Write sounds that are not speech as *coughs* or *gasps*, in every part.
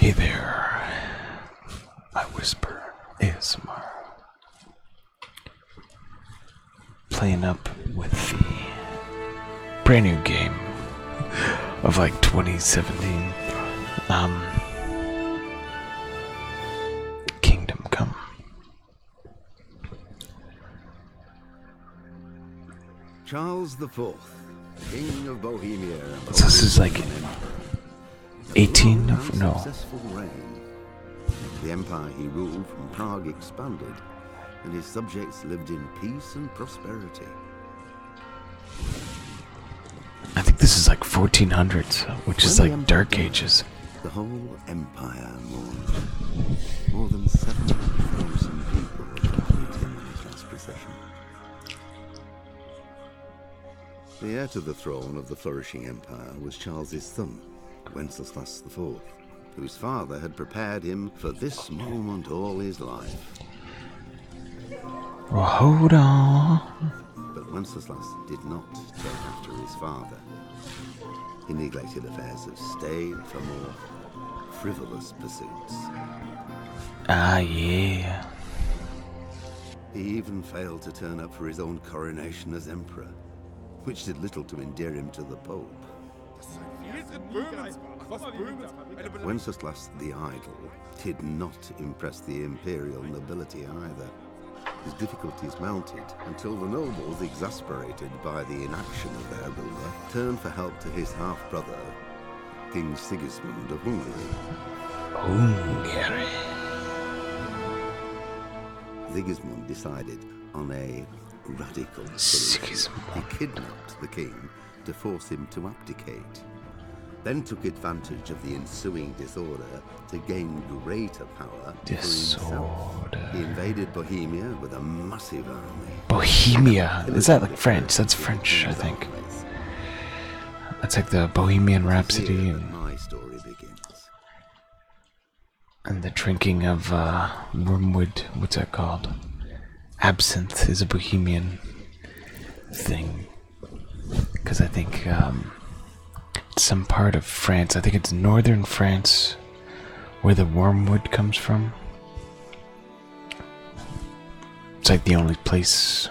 Hey there, I whisper ASMR. Playing up with the brand new game of like 2017. Um, Kingdom Come. Charles IV, King of Bohemia. So this is like 18 no. The empire he ruled from Prague expanded, and his subjects lived in peace and prosperity. I think this is like 1400s, which is like Dark Ages. The whole empire mourned. More than 7,000 people were killed procession. The heir to the throne of the flourishing empire was Charles's son, Wenceslas IV, whose father had prepared him for this moment all his life. Well, hold on. But Wenceslas did not take after his father. He neglected affairs of state for more frivolous pursuits. Ah, yeah. He even failed to turn up for his own coronation as emperor, which did little to endear him to the Pope. Wenceslas the Idle did not impress the imperial nobility either. His difficulties mounted until the nobles, exasperated by the inaction of their ruler, turned for help to his half brother, King Sigismund of Hungary. Hungary. Sigismund decided on a radical solution. Sigismund. He kidnapped the king to force him to abdicate, then took advantage of the ensuing disorder to gain greater power disorder. He invaded Bohemia with a massive army. Bohemia? Is that like French? That's French, I think. Yes. That's like the Bohemian Rhapsody and the drinking of uh, wormwood. What's that called? Absinthe is a Bohemian thing because I think um, some part of France. I think it's northern France where the wormwood comes from. It's like the only place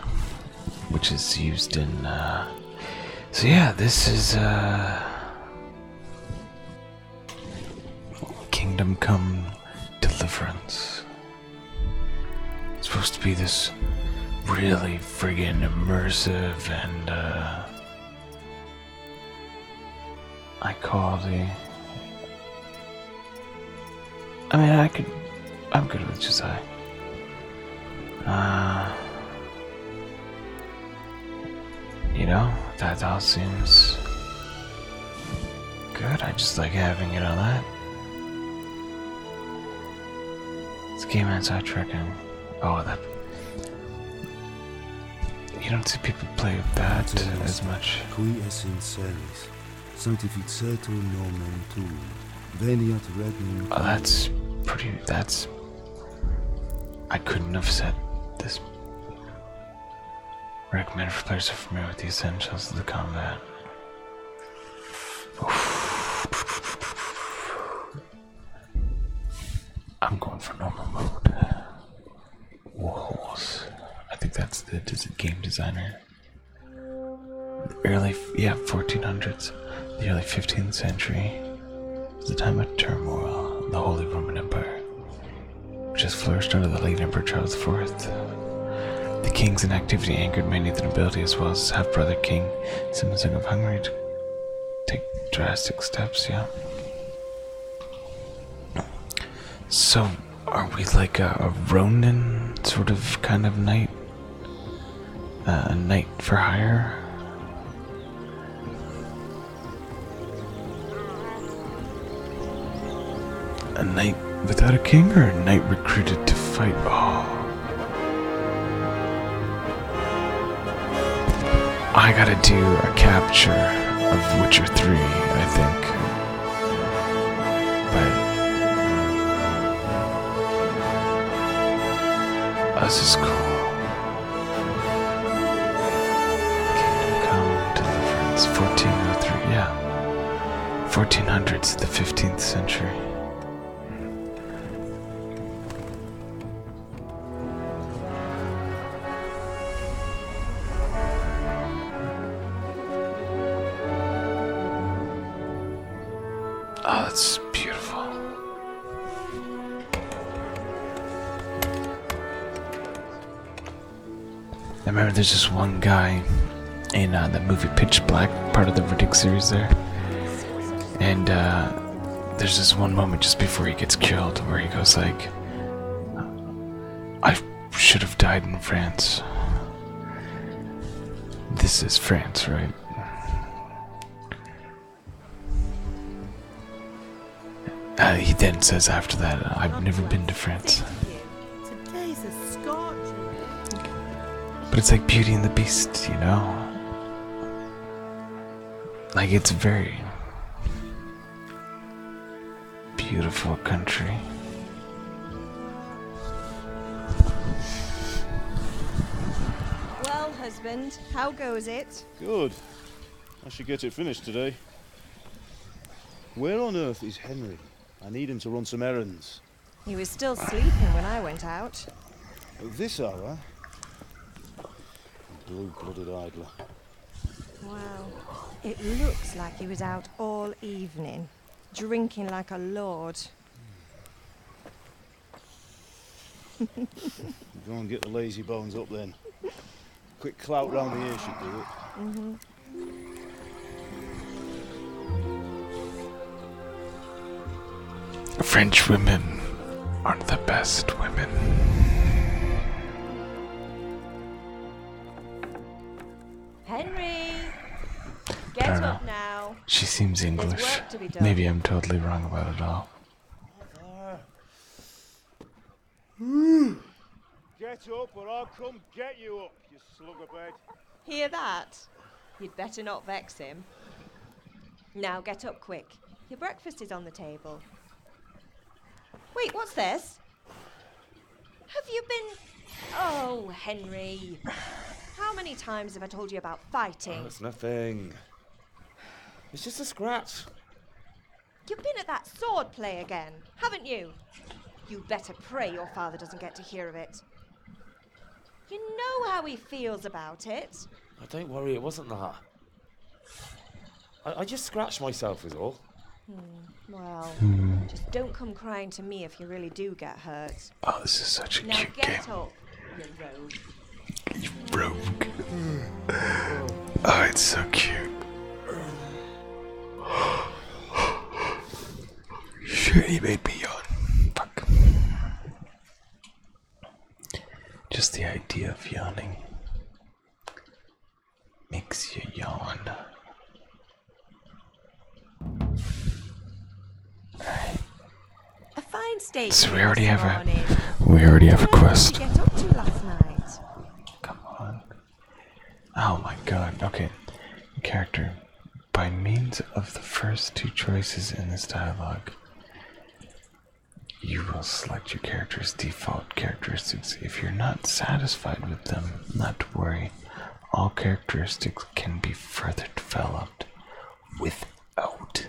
which is used in. Uh, so yeah, this is uh, Kingdom Come Deliverance. It's supposed to be this really friggin' immersive and uh, I call the I mean, I could. I'm good with Josiah. Uh, you know, that all seems good. I just like having it on that. It's game outside trekking. Oh, that. You don't see people play with that as much. Oh, that's pretty. That's. I couldn't have said this. Recommended for players who are familiar with the essentials of the combat. I'm going for normal mode. Wolves. I think that's the game designer early yeah 1400s the early 15th century was the time of turmoil in the holy roman empire which has flourished under the late emperor charles iv the king's inactivity angered many of the nobility as well as his half-brother king King of hungary to take drastic steps yeah so are we like a, a Ronin sort of kind of knight? a knight for hire? A knight without a king or a knight recruited to fight? Oh. I gotta do a capture of Witcher 3, I think. But us is cool. Kingdom come, deliverance, 1403. Yeah, 1400s, the 15th century. Oh, ah, it's beautiful. I remember there's this one guy in uh, the movie Pitch Black, part of the Riddick series there. And uh, there's this one moment just before he gets killed where he goes like, I should have died in France. This is France, right? Uh, he then says after that, uh, I've never been to France. But it's like Beauty and the Beast, you know? Like, it's a very beautiful country. Well, husband, how goes it? Good. I should get it finished today. Where on earth is Henry? I need him to run some errands. He was still sleeping when I went out. At oh, this hour? Blue-blooded oh, idler. Wow. It looks like he was out all evening, drinking like a lord. *laughs* Go and get the lazy bones up then. Quick clout round the ear should do it. French women aren't the best women. Henry! Get up now. She seems English. Maybe I'm totally wrong about it all. *sighs* Get up or I'll come get you up, you slug of bed. Hear that? You'd better not vex him. Now get up quick. Your breakfast is on the table. Wait, what's this? Have you been Oh, Henry. How many times have I told you about fighting? Oh, it's nothing. It's just a scratch. You've been at that sword play again, haven't you? You better pray your father doesn't get to hear of it. You know how he feels about it. Oh, don't worry, it wasn't that. I, just scratched myself, is all. Hmm, well, hmm. just don't come crying to me if you really do get hurt. Oh, this is such a now cute game. you rogue. oh, it's so cute. Sure, *gasps* he made me yawn. Fuck. Just the idea of yawning makes you yawn. A fine state. we already have a we already have a quest. Come on. Oh my god. Okay. Character. By means of the first two choices in this dialogue, you will select your character's default characteristics. If you're not satisfied with them, not to worry. All characteristics can be further developed without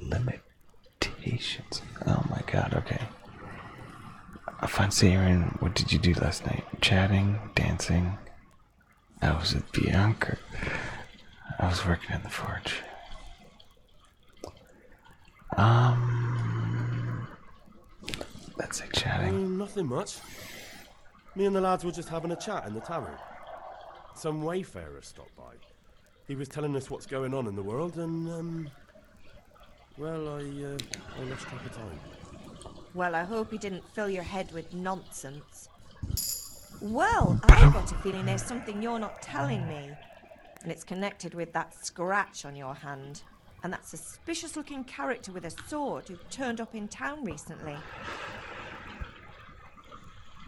limitations. Oh my god, okay. I fancy hearing what did you do last night? Chatting, dancing. I was with Bianca. I was working in the forge. Um, let's say chatting. Mm, nothing much. Me and the lads were just having a chat in the tavern. Some wayfarer stopped by. He was telling us what's going on in the world, and, um, well, I, uh, I lost track of time. Well, I hope he didn't fill your head with nonsense. Well, I've got a feeling there's something you're not telling me. And it's connected with that scratch on your hand. And that suspicious looking character with a sword who turned up in town recently.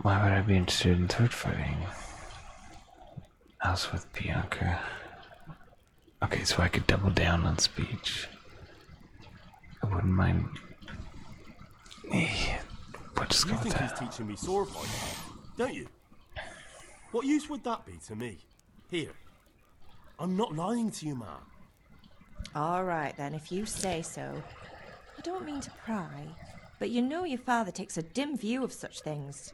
Why would I be interested in third fighting? Else with Bianca. Okay, so I could double down on speech. I wouldn't mind. Yeah, we'll you think he's teaching me sword fighting, don't you? What use would that be to me? Here, I'm not lying to you, ma. All right, then, if you say so. I don't mean to pry, but you know your father takes a dim view of such things.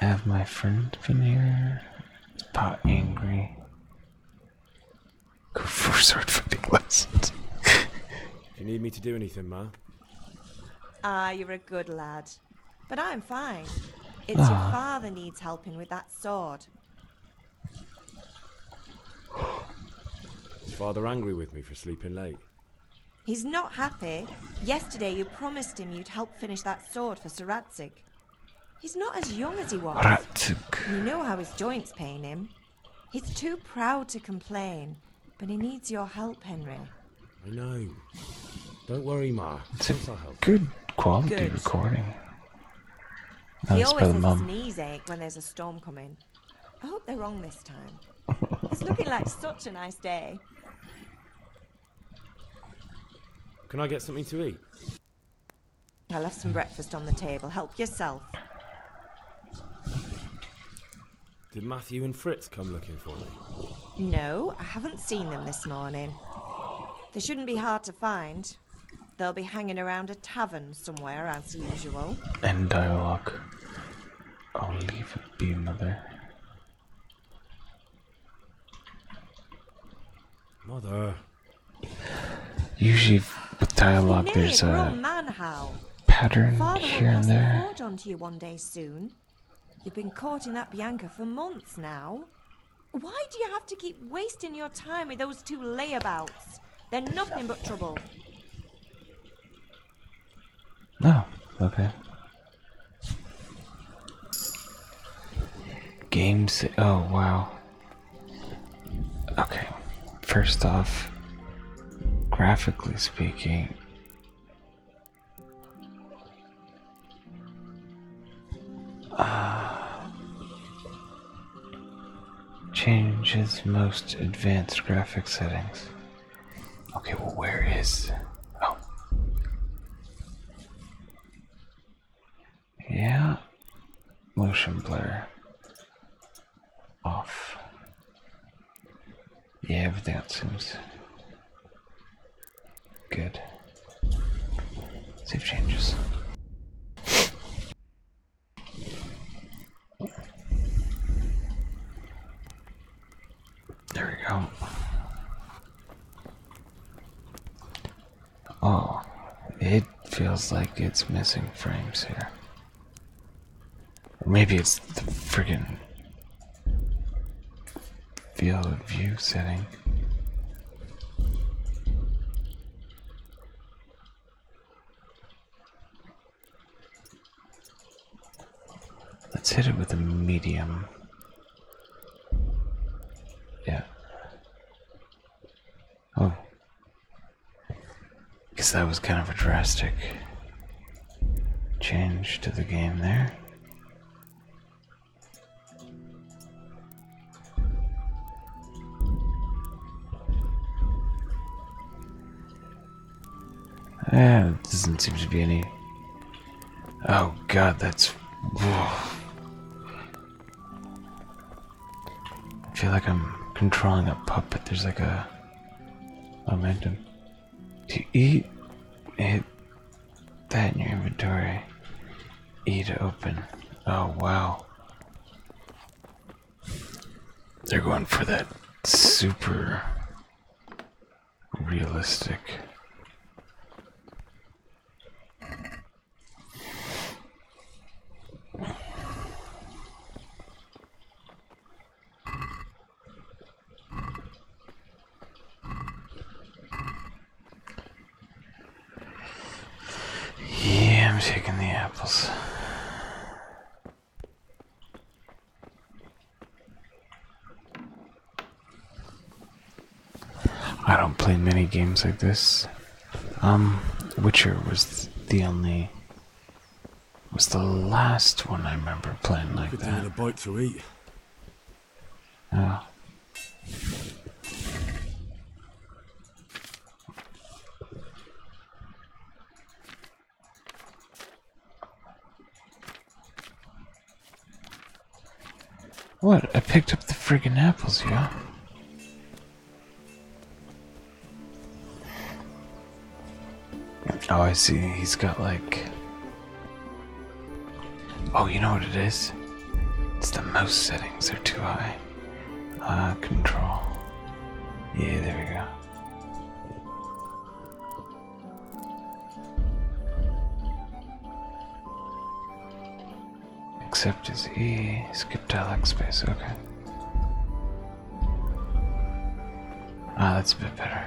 Have my friend been here? Is Pa angry? Go for *laughs* sword fighting lessons. if you need me to do anything, Ma. Ah, you're a good lad. But I'm fine. It's your ah. father needs helping with that sword. Is father angry with me for sleeping late? He's not happy. Yesterday you promised him you'd help finish that sword for Sir Ratzig. He's not as young as he was. Ratzig. You know how his joints pain him. He's too proud to complain, but he needs your help, Henry. I know. Don't worry, Ma. It's a good quality recording he always has his knees ache when there's a storm coming. I hope they're wrong this time. it's looking like such a nice day. Can I get something to eat? I left some breakfast on the table. Help yourself. Did Matthew and Fritz come looking for me? No, I haven't seen them this morning. They shouldn't be hard to find. They'll be hanging around a tavern somewhere, as usual. End dialogue. I'll leave it be, Mother. Mother. Usually with dialogue, there's a pattern Father here and there. Onto you one day soon. You've been caught in that Bianca for months now. Why do you have to keep wasting your time with those two layabouts? They're nothing but trouble. No, oh, okay. Games. Oh, wow. Okay. First off, graphically speaking, uh, changes most advanced graphic settings. Okay, well, where is. Oh. Yeah. Motion blur. Off. Yeah, that seems good. Save changes. There we go. Oh, it feels like it's missing frames here. Or maybe it's the friggin' field of view setting. Let's hit it with a medium. Yeah. Oh. Because that was kind of a drastic change to the game there. Eh, doesn't seem to be any. Oh god, that's. Whoa. I feel like I'm controlling a puppet. There's like a momentum. To eat, it, that in your inventory. Eat to open. Oh wow. They're going for that super realistic. Yeah, I'm taking the apples. I don't play many games like this. Um, Witcher was the only was the last one I remember playing like I that. A bite to eat. Yeah. What? I picked up the friggin' apples, yo. Oh, I see. He's got like. Oh, you know what it is? It's the mouse settings are too high. Ah, control. Yeah, there we go. Except is E, skip dialect space, okay. Ah, that's a bit better.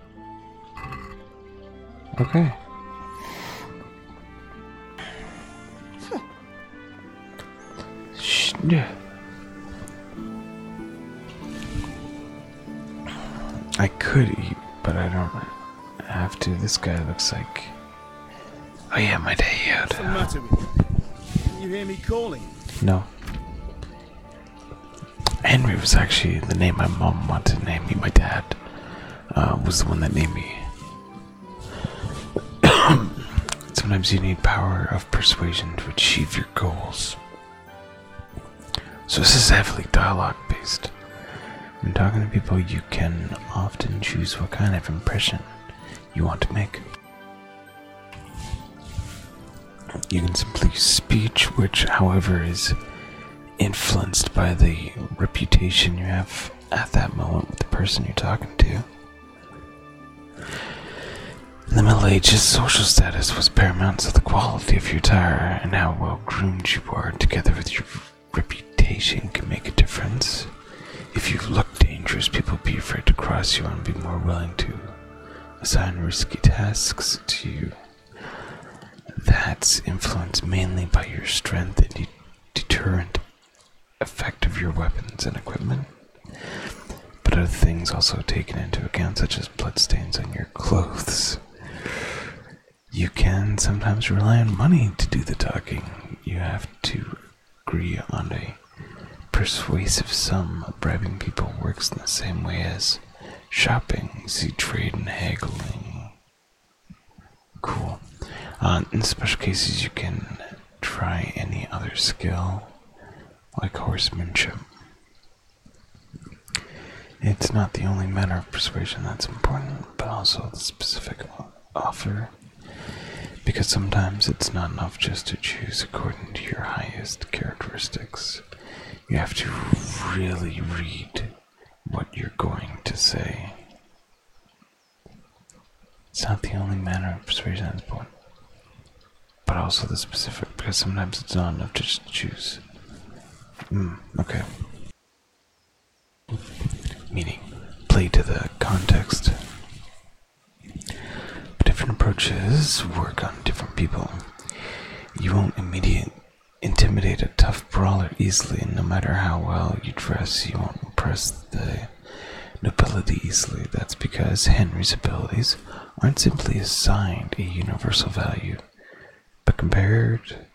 Okay. I could eat, but I don't have to. This guy looks like. Oh yeah, my day out. What's the matter with you? Can you hear me calling? No. Henry was actually the name my mom wanted to name me. My dad uh, was the one that named me. *coughs* Sometimes you need power of persuasion to achieve your goals. So this is heavily dialogue based. When talking to people, you can often choose what kind of impression you want to make. You can simply use speech, which, however, is influenced by the reputation you have at that moment with the person you're talking to. In the Middle Ages, social status was paramount, to the quality of your attire and how well groomed you were, together with your reputation, could make a difference. If you look dangerous, people will be afraid to cross you and be more willing to assign risky tasks to you. That's influenced mainly by your strength and the deterrent effect of your weapons and equipment. But other things also taken into account, such as bloodstains on your clothes. You can sometimes rely on money to do the talking. You have to agree on a persuasive sum. Bribing people works in the same way as shopping, see trade, and haggling. Cool. Uh, in special cases, you can try any other skill, like horsemanship. It's not the only matter of persuasion that's important, but also the specific offer, because sometimes it's not enough just to choose according to your highest characteristics. You have to really read what you're going to say. It's not the only manner of persuasion that's important, but also the specific, because sometimes it's not enough to just choose. Hmm, okay. Meaning, play to the context. Different approaches work on different people. You won't immediately Intimidate a tough brawler easily, no matter how well you dress, you won't impress the nobility easily. That's because Henry's abilities aren't simply assigned a universal value, but compared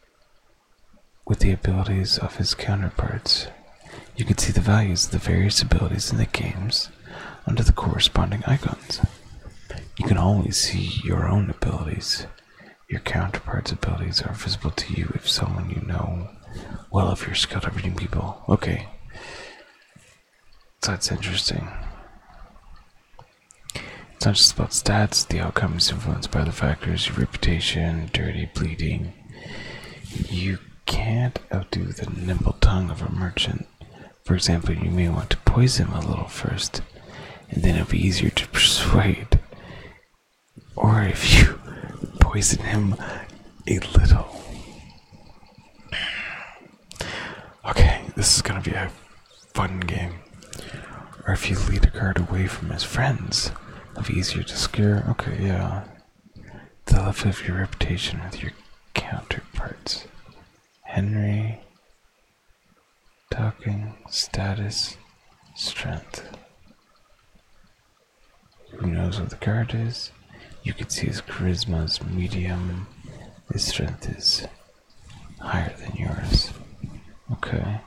with the abilities of his counterparts, you can see the values of the various abilities in the games under the corresponding icons. You can only see your own abilities your counterpart's abilities are visible to you if someone you know well if you're skilled at reading people. Okay. That's interesting. It's not just about stats, the outcome is influenced by the factors your reputation, dirty, bleeding. You can't outdo the nimble tongue of a merchant. For example, you may want to poison a little first and then it'll be easier to persuade. Or if you poison him a little. Okay, this is gonna be a fun game. Or if you lead a card away from his friends, it'll be easier to scare. Okay, yeah. The left of your reputation with your counterparts. Henry talking status strength who knows what the card is you can see his charisma is medium his strength is higher than yours okay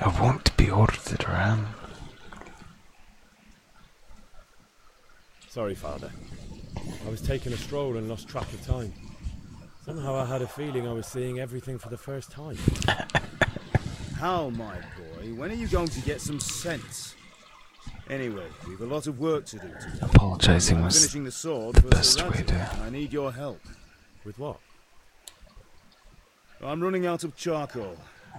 I want to be ordered around. Sorry, Father. I was taking a stroll and lost track of time. Somehow I had a feeling I was seeing everything for the first time. *coughs* How, my boy? When are you going to get some sense? Anyway, we've a lot of work to do. Apologizing was the best way to. I need your help. With what? I'm running out of charcoal.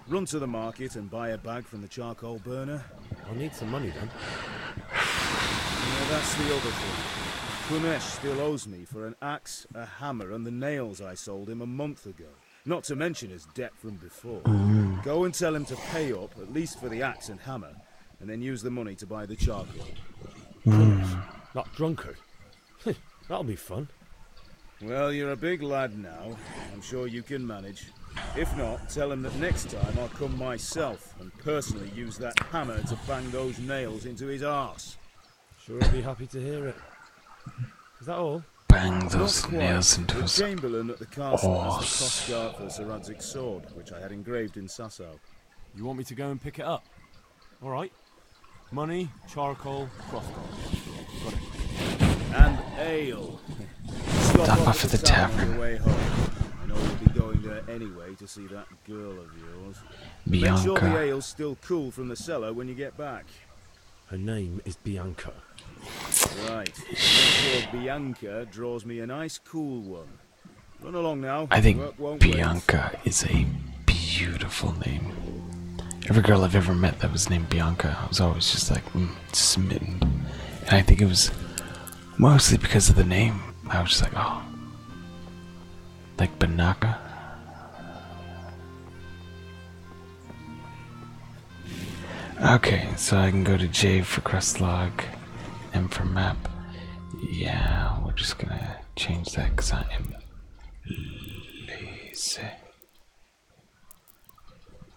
Run to the market and buy a bag from the charcoal burner. I'll need some money then. Yeah, that's the other thing. Punesh still owes me for an axe, a hammer, and the nails I sold him a month ago. Not to mention his debt from before. Go and tell him to pay up, at least for the axe and hammer, and then use the money to buy the charcoal. Mm. that drunkard. Eh? *laughs* That'll be fun. Well, you're a big lad now. I'm sure you can manage. If not, tell him that next time I'll come myself and personally use that hammer to bang those nails into his arse. Sure, I'll be happy to hear it. Is that all? Bang those nails into his arse. Chamberlain at the castle has the Koskar for Sir Radzik's sword, which I had engraved in Sasso. You want me to go and pick it up? All right. Money, charcoal, crossbow. Got it. And ale. Stop off at the tavern. Bianca. Make sure the ale's still cool from the cellar when you get back. Her name is Bianca. Right. Bianca draws me a nice cool one. Run along now. I think Bianca is a beautiful name. Every girl I've ever met that was named Bianca, I was always just like, hmm smitten. And I think it was mostly because of the name. I was just like, oh. Like Banaka. Okay, so I can go to J for crest log, and for map. Yeah, we're just gonna change that because I am lazy.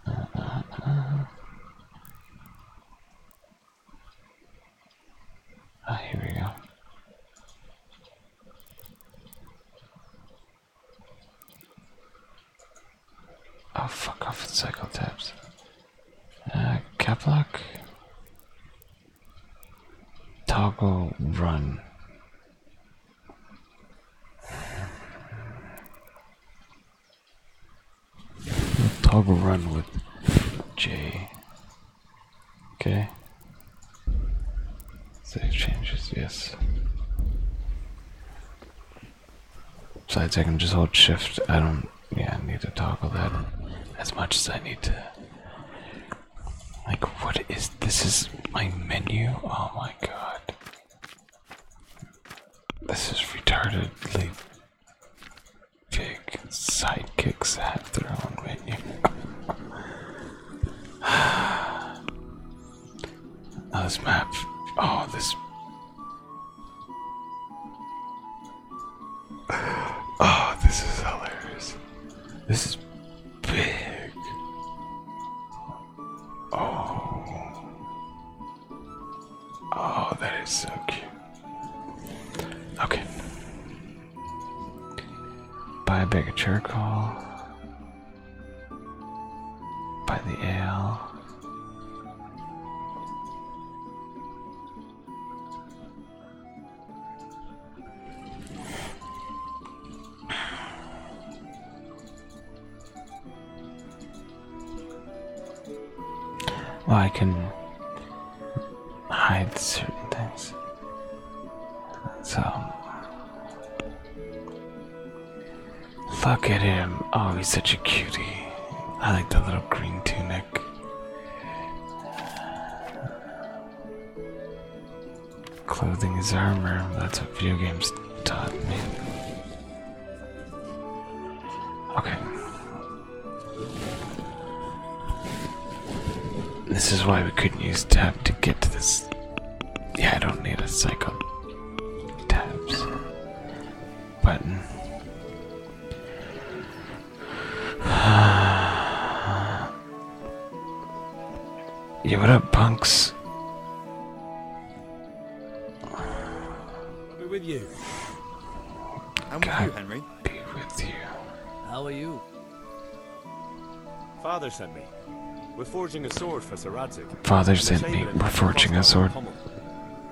Ah, here we go. Oh, fuck off with cycle tabs. Uh, cap lock. Toggle run toggle run with J. Okay. Save changes, yes. Besides, I can just hold shift. I don't, yeah, I need to toggle that as much as I need to. Like, what is this? Is my menu? Oh my god. This is retardedly big sidekicks at their *sighs* own venue. now this map. Oh, this. *sighs* Oh, this is hilarious. This is big. Oh. Oh, that is so cute. Okay. Buy a bag of charcoal. Buy the ale. Well, I can hide certain things. So. Look at him. Oh, he's such a cutie. I like the little green tunic. Clothing is armor. That's what video games taught me. Okay. This is why we couldn't use tab to get to this. Yeah, I don't need a cycle. Tabs. Button. *sighs* yeah, what up, punks? I'll be with you. I'm with you, Henry. Be with you. How are you? Father sent me. We're forging a sword for Saradzik. Father sent me. We're forging a sword.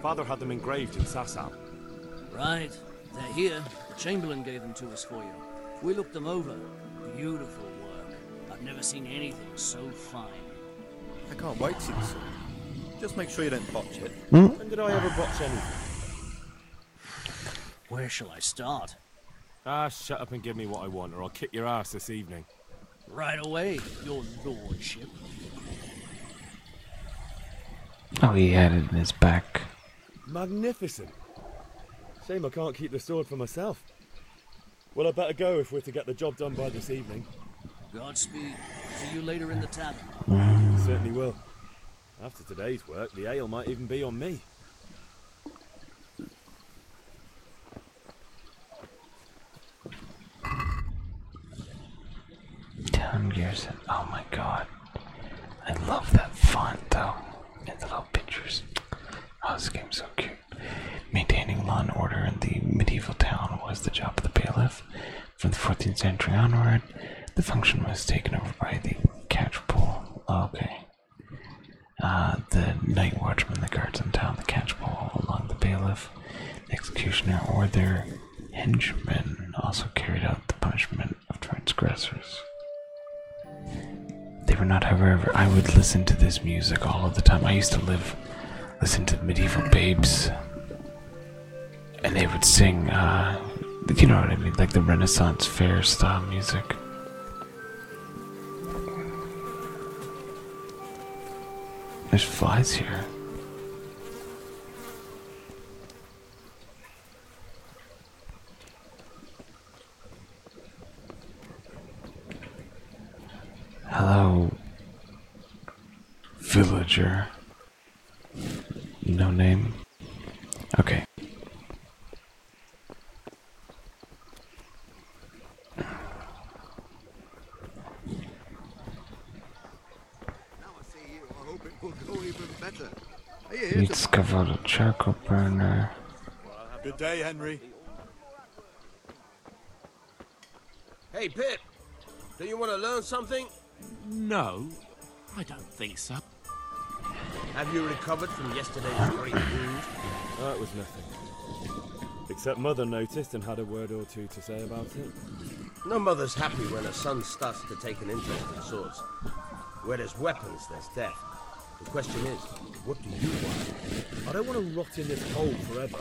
Father had them engraved in Sasam. Right. They're here. The Chamberlain gave them to us for you. We looked them over. Beautiful work. I've never seen anything so fine. I can't wait to see Just make sure you don't botch it. Hmm? When did I ever botch anything? Where shall I start? Ah, shut up and give me what I want, or I'll kick your ass this evening. Right away, your lordship. Oh, he had it in his back. Magnificent. Shame I can't keep the sword for myself. Well, I better go if we're to get the job done by this evening. Godspeed. See you later in the tavern. Mm. Certainly will. After today's work, the ale might even be on me. Town Garrison. Oh my god. I love that font though. And the little pictures. Oh, this game's so cute. Maintaining law and order in the medieval town was the job of the bailiff. From the 14th century onward, the function was taken over by the catchpole. okay. Uh, the night watchman, the guards in town, the catchpole along the bailiff, executioner, or their henchmen also carried out the punishment of transgressors. They were not, however, I would listen to this music all of the time. I used to live listen to medieval babes, and they would sing, uh, you know what I mean, like the Renaissance fair style music. There's flies here. Hello, Villager. No name. Okay. You discovered a charcoal burner. Good day, Henry. Hey, Pip, do you want to learn something? No, I don't think so. Have you recovered from yesterday's great wound? That was nothing. Except Mother noticed and had a word or two to say about it. No mother's happy when her son starts to take an interest in swords. Where there's weapons, there's death. The question is, what do you want? I don't want to rot in this hole forever.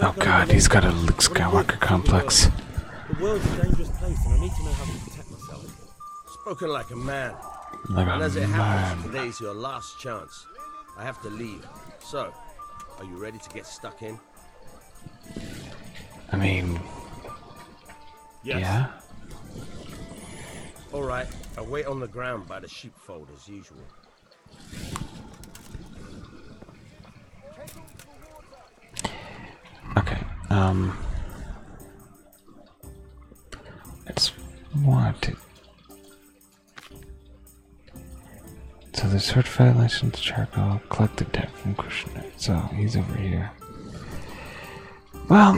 Oh god, he's got a Luke Skywalker complex. Spoken like a man. and as it happens, man. today's your last chance. I have to leave. So, are you ready to get stuck in? I mean, yeah. All right, I wait on the ground by the sheepfold as usual. Okay, um, It's let it. So the sword fighting lessons. charcoal collected debt from Krishna. So he's over here. Well,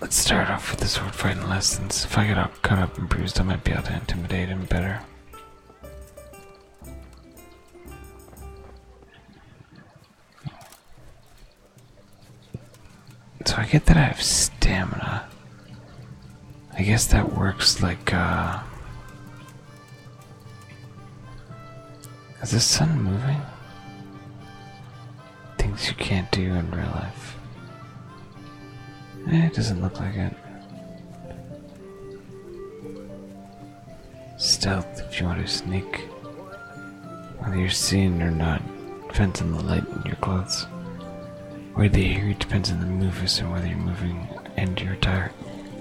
let's start off with the sword fighting lessons. If I get all cut up and bruised, I might be able to intimidate him better. So I get that I have stamina. I guess that works like, uh. Is the sun moving? Things you can't do in real life. Eh, it doesn't look like it. Stealth if you want to sneak. Whether you're seen or not depends on the light in your clothes. Where they hear it depends on the movement and whether you're moving and your attire,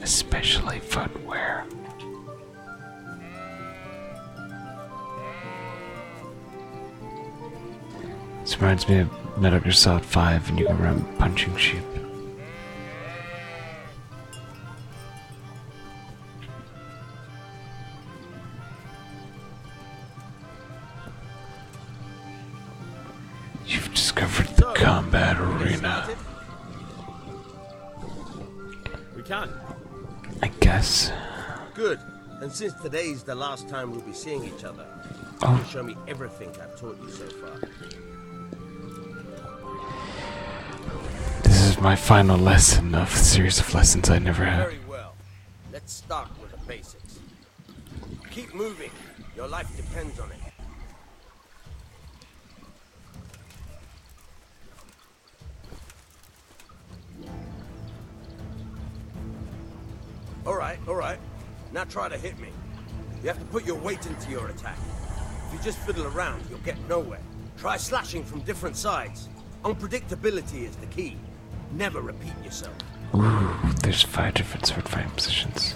especially footwear. This reminds me of Metal Gear Solid 5 and you go around punching sheep. You've discovered the combat arena. We can. I guess. Good. And since today's the last time we'll be seeing each other, oh. you show me everything I've taught you so far. This is my final lesson of a series of lessons I never had. Very well. Let's start with the basics. Keep moving. Your life depends on it. All right, all right. Now try to hit me. You have to put your weight into your attack. If you just fiddle around, you'll get nowhere. Try slashing from different sides. Unpredictability is the key. Never repeat yourself. Ooh, there's five different sword fighting positions.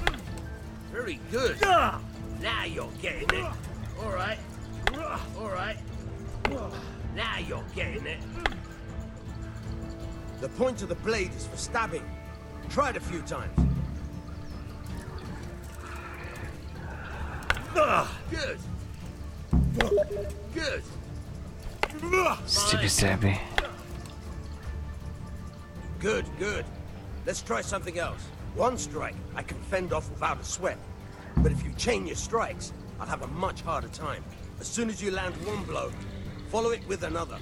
Very good. Now you're getting it. All right. All right. Now you're getting it. The point of the blade is for stabbing, Tried a few times. Ah, good. Good. Stupid Sabby. Good, good. Let's try something else. One strike, I can fend off without a sweat. But if you chain your strikes, I'll have a much harder time. As soon as you land one blow, follow it with another.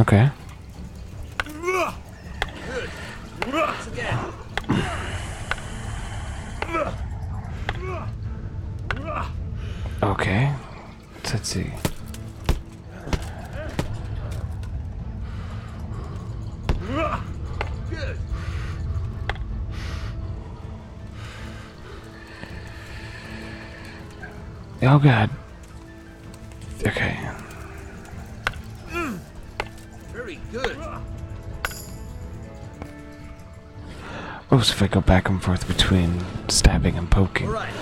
Okay. Okay. Let's see. Oh god. Okay. Very good. What if I go back and forth between stabbing and poking? All right.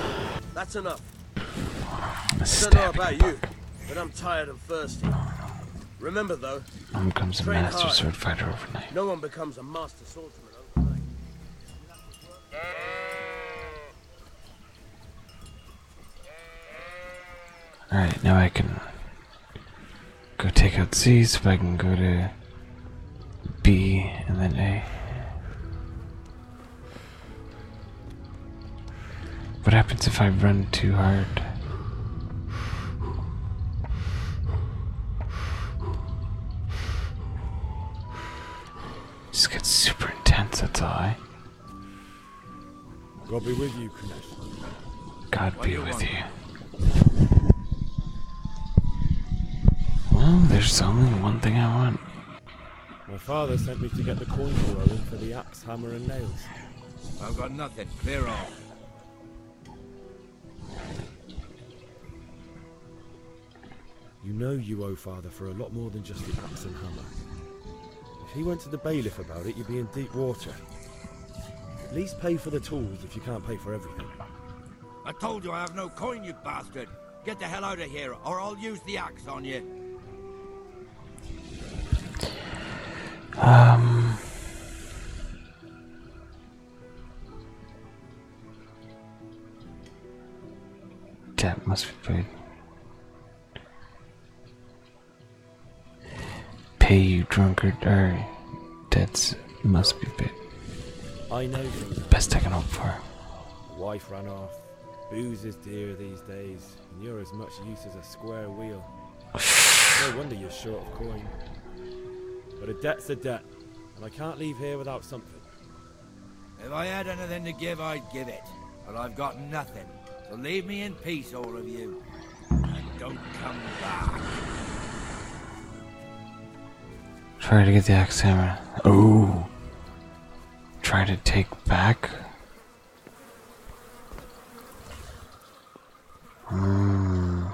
That's enough. I don't know about you, but I'm tired and thirsty. Remember though, no one becomes a master hard. No one becomes a master swordsman overnight. Alright, now I can go take out Z so I can go to B and then A. What happens if I run too hard? This gets super intense, that's all. Eh? God be with you, Commissioner. God be with you. Well, there's only one thing I want. My father sent me to get the coin for rolling for the axe, hammer, and nails. I've got nothing. Clear off. You know you owe father for a lot more than just the axe and hammer. If he went to the bailiff about it, you'd be in deep water. At least pay for the tools if you can't pay for everything. I told you I have no coin, you bastard. Get the hell out of here, or I'll use the axe on you. Um. Cat must be paid. Pay you drunkard. Alright. debts must be paid. I know best I can offer. Wife ran off. Booze is dear these days, and you're as much use as a square wheel. no wonder you're short of coin. But a debt's a debt, and I can't leave here without something. If I had anything to give, I'd give it. But I've got nothing. So leave me in peace, all of you. And don't come back. Try to get the axe hammer. Oh! Try to take back? Hmm.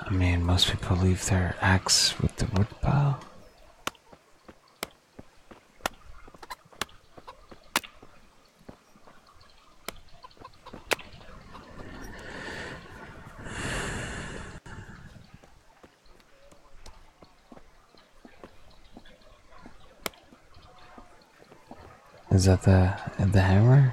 I mean, most people leave their axe with the wood pile. Is that the the hammer?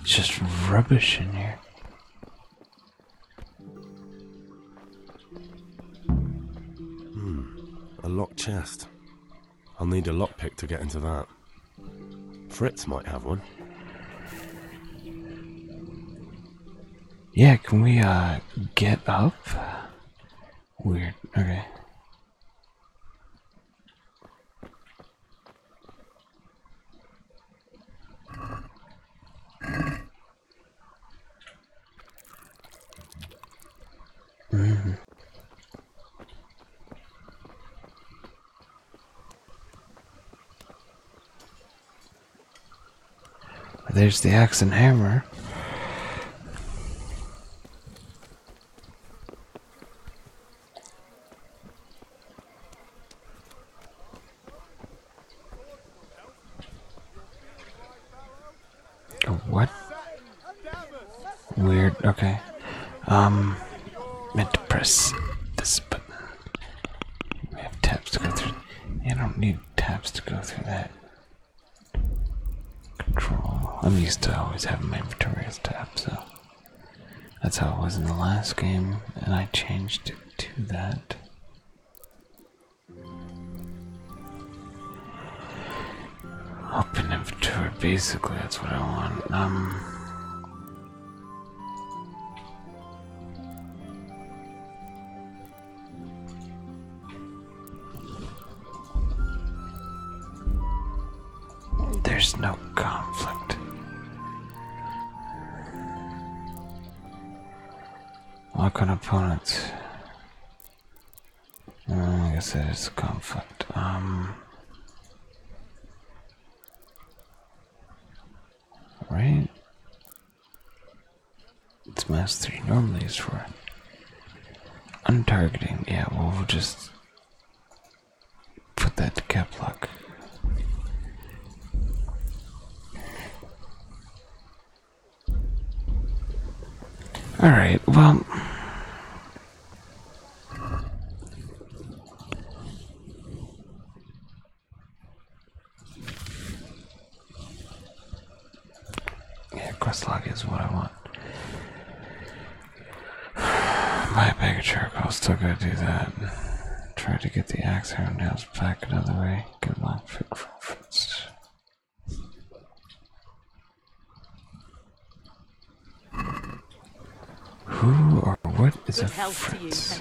It's just rubbish in here. Hmm, a locked chest. I'll need a lockpick to get into that. Fritz might have one. Yeah, can we uh get up? Weird. Okay. There's the axe and hammer. Oh, what? Weird, okay. Um, meant to press this button. We have tabs to go through. I don't need tabs to go through that. Control. I'm used to always having my inventory as so. That's how it was in the last game, and I changed to that. Open inventory, basically, that's what I want. Um. There's no conflict. Lock on opponents. Uh, I guess it's conflict. Um, right? It's mass 3 normally is for untargeting. Yeah, we'll just put that cap lock. Alright, well. Yeah, quest log is what I want. My big Jericho's still got to do that. Try to get the axe hair nails back another way. Good luck, Fit Fritz. Who or what is Good Fritz?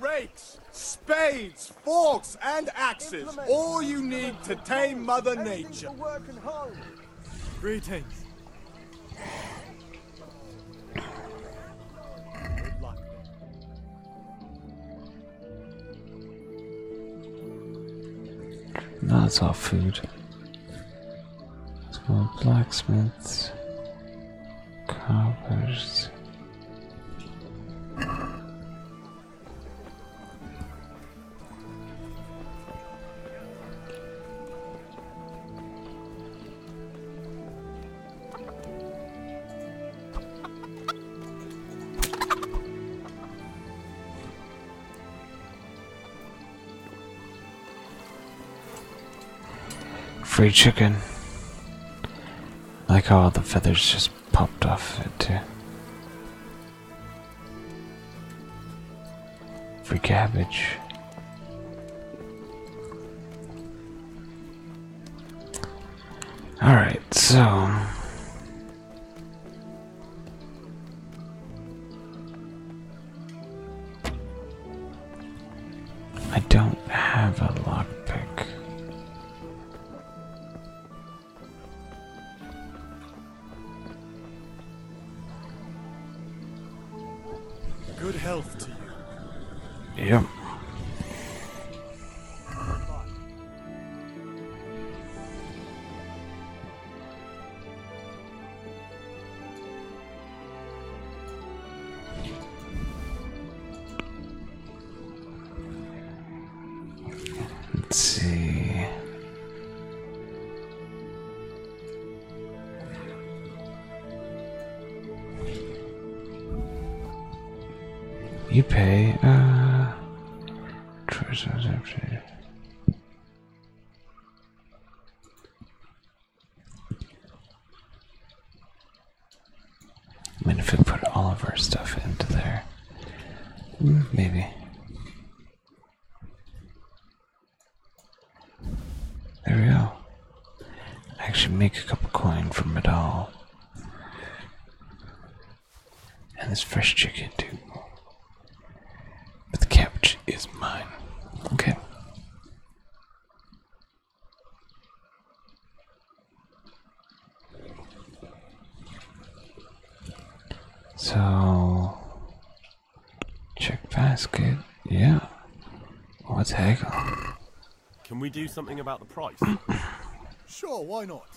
rakes, spades, forks, and axes. All you need to tame Mother Nature. Greetings. That's our food. It's Small blacksmiths, carvers. Free chicken. Like all the feathers just popped off it too free cabbage. All right, so. I don't have a lockpick. Good health to you. Yep. Let's see. You pay, uh, I mean, if we put all of our stuff into there, maybe. There we go. I actually make a couple coin from it all. And this fresh chicken too. But the cabbage is mine. Okay. So Check basket. Yeah. What's haggling? Can we do something about the price? *coughs* sure, why not?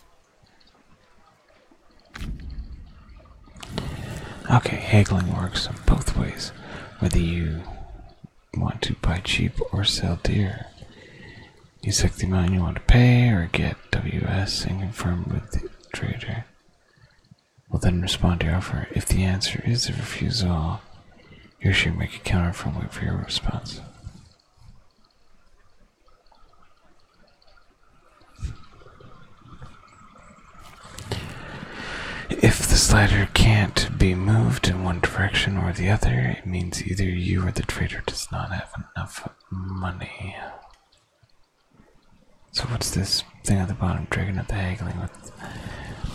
Okay, haggling works both ways, whether you want to buy cheap or sell dear. You select the amount you want to pay or get WS and confirm with the trader will then respond to your offer. If the answer is a refusal, you should make a counter from for your response. If the slider can't be moved in one direction or the other, it means either you or the trader does not have enough money. So what's this thing at the bottom? dragging at the haggling with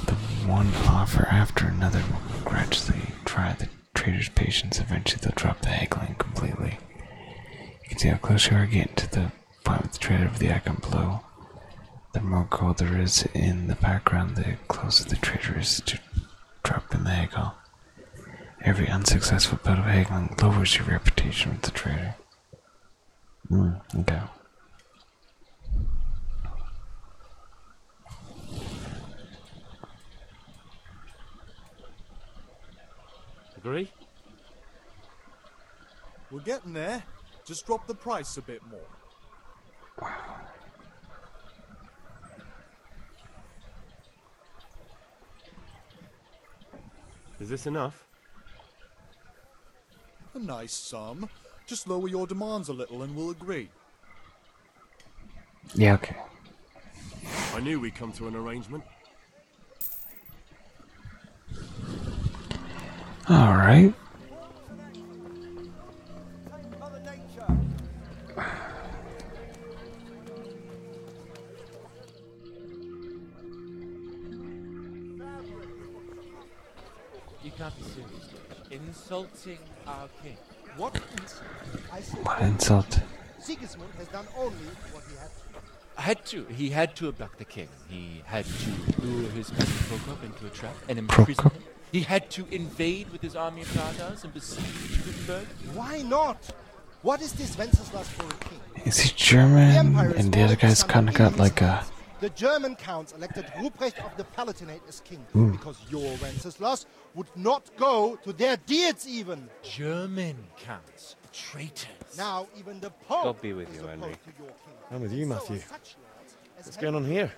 the one offer after another will gradually try the trader's patience. Eventually they'll drop the haggling completely. You can see how close you are getting to the point with the trader of the icon below. The more gold there is in the background, the closer the trader is to dropping the haggle. Every unsuccessful bout of haggling lowers your reputation with the trader. Mm, okay. Agree? We're getting there. Just drop the price a bit more. Wow. Is this enough? A nice sum. Just lower your demands a little and we'll agree. Yeah, okay. I knew we'd come to an arrangement. All right. You can't be serious. Insulting our king. What insult? I said what insult? Sigismund had to. He had to abduct the king. He had to lure his cousin Prokop into a trap and imprison him. He had to invade with his army of Tatars and besiege Gutenberg. Why not? What is this Wenceslas for a king? Is he German? and the other guy's kind of got like a elected Ruprecht of the Palatinate as king, hmm. because your Wenceslas would not go to their deeds even. German counts, traitors. Now even the Pope God be with you, Henry. I'm with you, Matthew. What's going on here?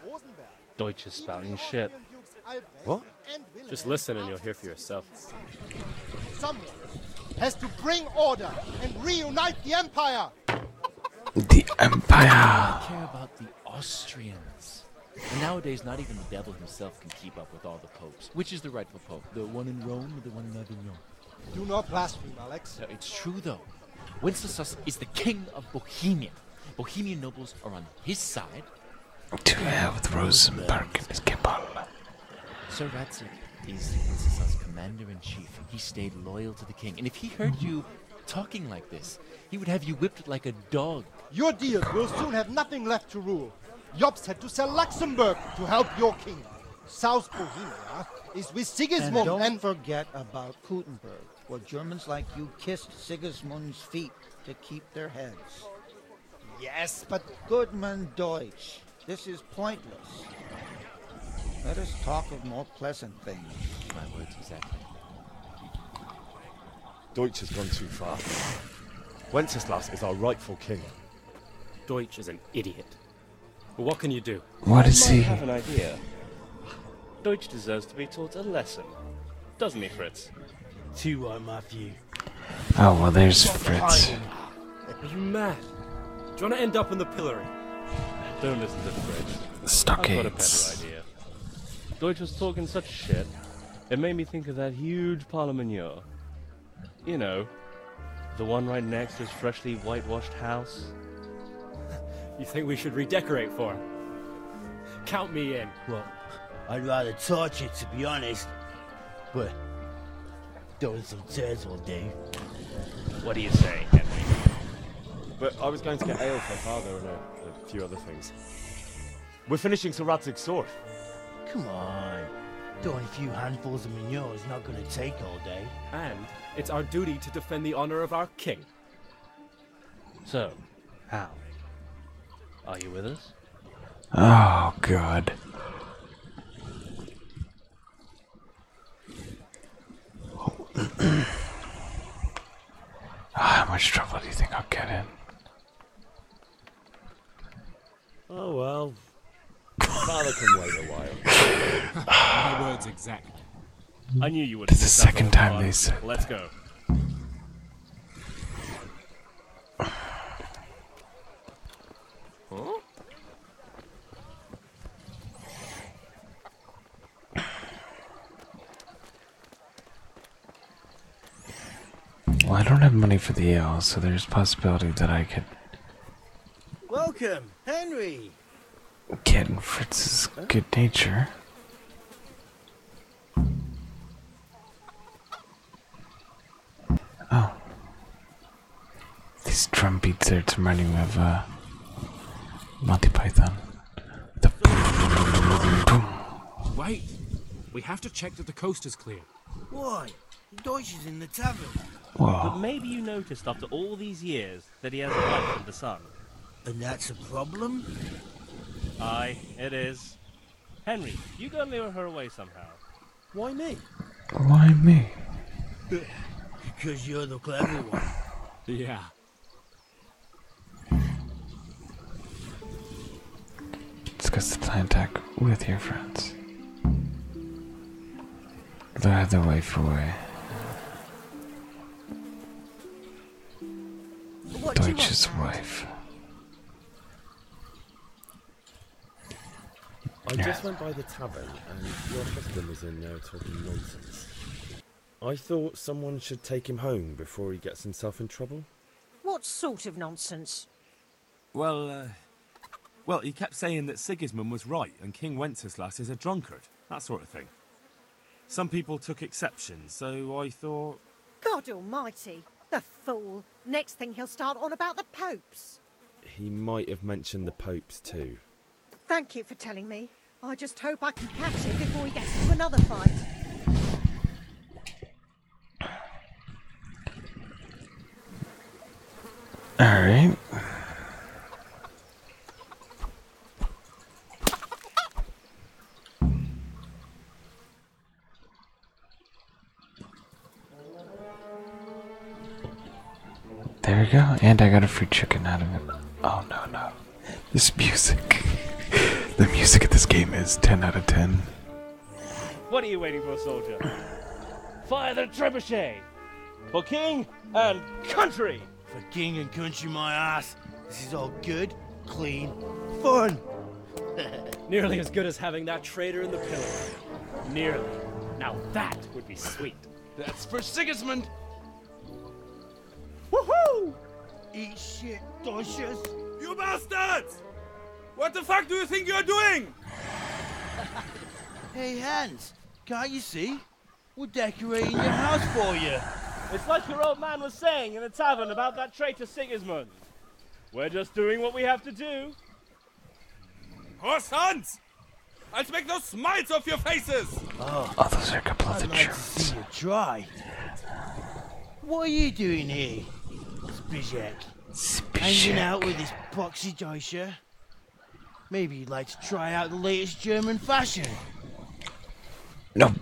Deutsche spouting shit. What? Just listen and you'll hear for yourself. Someone has to bring order and reunite the empire. The Empire. They care about the Austrians. And nowadays, not even the devil himself can keep up with all the popes. Which is the rightful pope? The one in Rome or the one in Avignon? Do not blaspheme, Alex. it's true, though. Wenceslas is the king of Bohemia. Bohemian nobles are on his side. To have with Rosenberg and his Kepal. Sir Ratzik is Wenceslas' commander in chief. He stayed loyal to the king. And if he heard you talking like this. He would have you whipped like a dog. Your dears will soon have nothing left to rule. Jops had to sell Luxembourg to help your king. South Bohemia is with Sigismund and... Don't forget about Gutenberg, where Germans like you kissed Sigismund's feet to keep their heads. Yes, but... Goodman Deutsch, this is pointless. Let us talk of more pleasant thing. My words exactly. Deutsch has gone too far. Wenceslas is our rightful king. Deutsch is an idiot. But what can you do? What is he? I have an idea. Deutsch deserves to be taught a lesson, doesn't he, Fritz? Two are my view. Oh well, there's Fritz. Are you mad? Do you want to end up in the pillory? Don't listen to Fritz stockades. Deutsch was talking such shit. It made me think of that huge parlementeur. You know, the one right next to his freshly whitewashed house. *laughs* you think we should redecorate for Count me in. Well, I'd rather torture, to be honest. But those some tears all day. What do you say, but I was going to get ale for father and a, few other things. We're finishing Sir Radzig's sword. Come on. doing a few handfuls of manure is not going to take all day. And it's our duty to defend the honor of our king. So, how? Are you with us? Oh, God. Ah, how much trouble do you think I'll get in? Oh well. Father can wait a while. My words exactly. I knew you would. This is the second time hard. they said. Let's go. Well, I don't have money for the ale, so there's possibility that I could. Welcome, Henry. Get in Fritz's good nature. Oh, these drum beats are reminding me of uh, Monty Python. Wait! We have to check that the coast is clear. Why? Deutsch is in the tavern. But maybe you noticed after all these years that he has a wife and the sun. And that's a problem? Aye, it is. Henry, you gotta lure her away somehow. Why me? Why me? Because *laughs* you're the clever one. *laughs* Yeah. Discuss the plan attack with your friends. They're the way away. What wife. I just went by the tavern and your husband is in there talking nonsense. I thought someone should take him home before he gets himself in trouble. What sort of nonsense? Well, uh, well, he kept saying that Sigismund was right and King Wenceslas is a drunkard, that sort of thing. Some people took exception, so I thought. God almighty! The fool! Next thing he'll start on about the popes! He might have mentioned the popes too. Thank you for telling me. I just hope I can catch it before he gets into another fight. All right. There we go. And I got a free chicken out of it. Oh, no, no. This music. the music of this game is 10 out of 10. What are you waiting for, soldier? Fire the trebuchet! For king and country! For king and country, my ass. This is all good, clean, fun. *laughs* Nearly as good as having that traitor in the pillory. Nearly. Now that would be sweet. That's for Sigismund! Woohoo! Eat shit, douches! You bastards! What the fuck do you think you're doing? *laughs* hey, Hans, can't you see? We're decorating your house for you. It's like your old man was saying in the tavern about that traitor Sigismund. We're just doing what we have to do. Horst Hans! Als make the smiles off your faces! Oh, oh those are a couple of the like To see you try. What are you doing here, Spizek? Spizek. Hanging out with this boxy Deutscher? Maybe you'd like to try out the latest German fashion. No.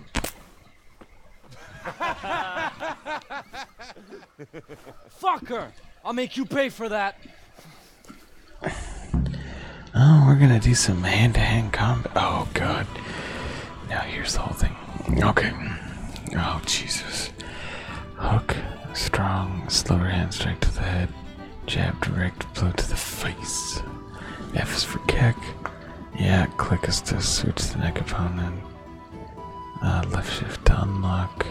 Fucker! I'll make you pay for that. Oh, we're gonna do some hand to hand combat. Oh, God. Now here's the whole thing. Okay. Oh, Jesus. Hook, strong, slower hand strike to the head, jab, direct blow to the face. F is for kick. Yeah, click is to switch the neck opponent. Uh, left shift to unlock.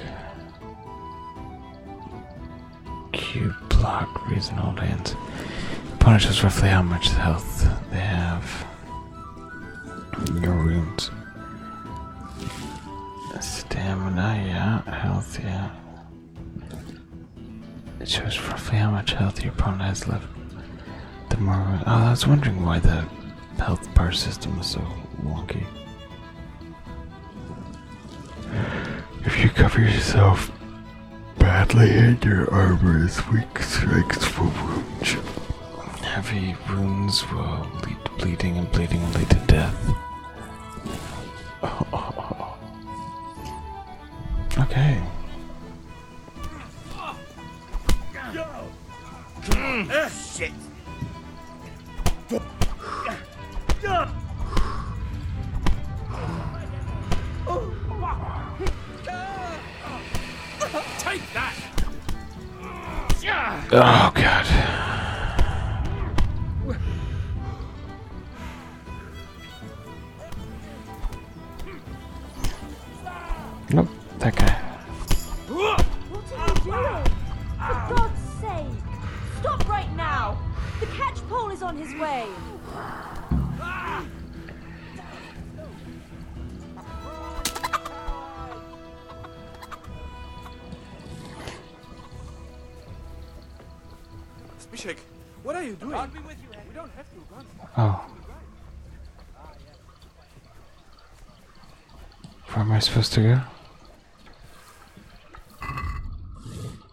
Q block, reason, hold hands. Punish us roughly how much health they have. Your wounds Stamina, yeah. Health, yeah. It shows roughly how much health your opponent has left. The more. Oh, I was wondering why the health bar system was so wonky. If you cover yourself Badly hit your armor is weak strikes for wounds. Heavy wounds will lead to bleeding, and bleeding will lead to death. *laughs* Okay. Take that! Oh god. Nope, Okay. What are you doing? For God's sake! Stop right now! The catchpole is on his way! Spishek, what are you doing? We don't have to. Oh. Where am I supposed to go?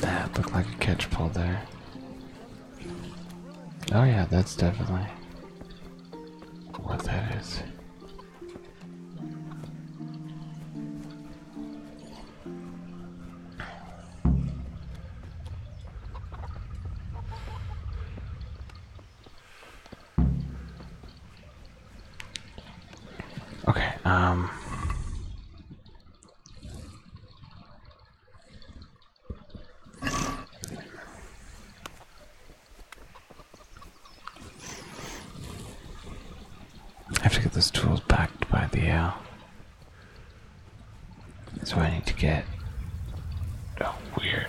That looked like a catch pull there. Oh yeah, that's definitely what that is. Okay, um I have to get those tools backed by the air. That's why I need to get. Oh, weird.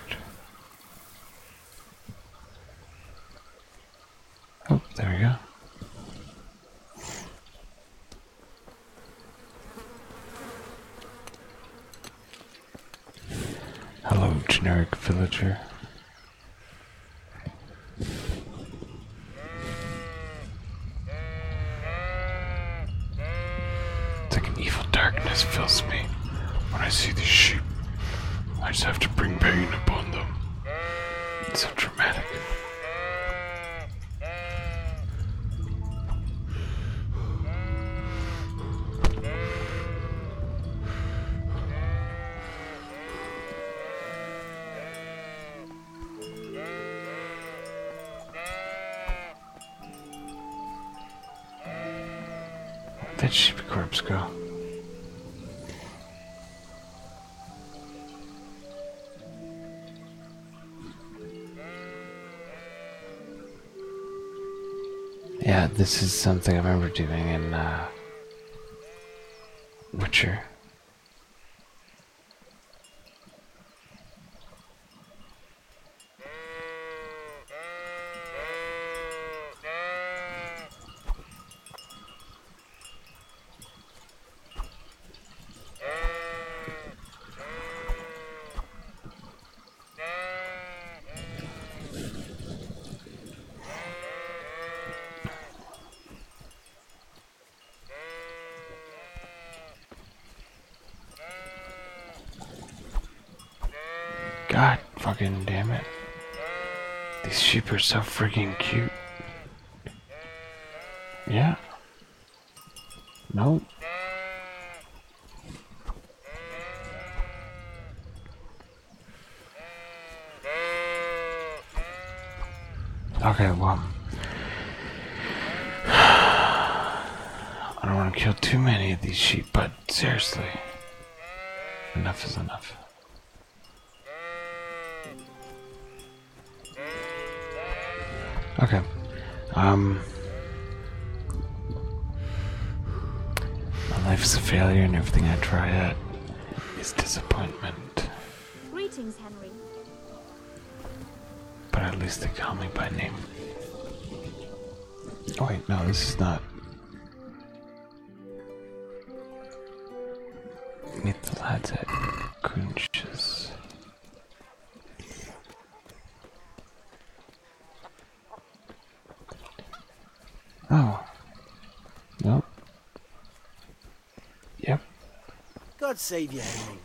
Oh, there we go. Hello, generic villager. like an evil darkness fills me when I see these sheep. I just have to bring pain upon them. It's so dramatic. Where'd that sheep corpse go? Yeah, this is something I remember doing in uh, Witcher. God fucking damn it. These sheep are so freaking cute. Yeah. No. Okay, well. *sighs* I don't want to kill too many of these sheep, but seriously. Enough is enough. Okay. Um. My life is a failure, and everything I try at is disappointment. Greetings, Henry. But at least they call me by name. Oh, wait, no, this is not. Meet the lads at Kunch's. Oh. Nope. Yep. God save you, Henry.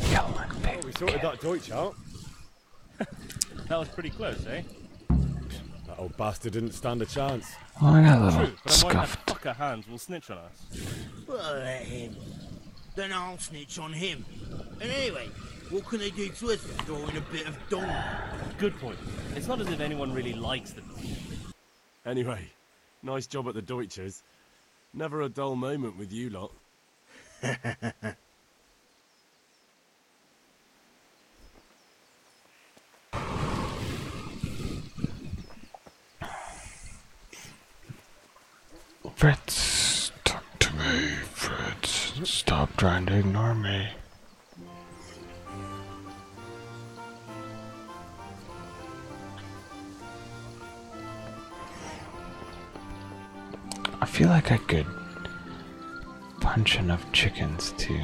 Kill and pick. Oh, we sorted that Deutsch out. *laughs* that was pretty close, eh? That old bastard didn't stand a chance. I know. True, but i fucker Hans will snitch on us. Well, let him. Then I'll snitch on him. And anyway, what can they do to us for throwing a bit of dong? Good point. It's not as if anyone really likes them. Anyway, nice job at the Deutsches. Never a dull moment with you lot. *laughs* Fritz, talk to me, Fritz. Stop trying to ignore me. I feel like I could Punching of chickens too.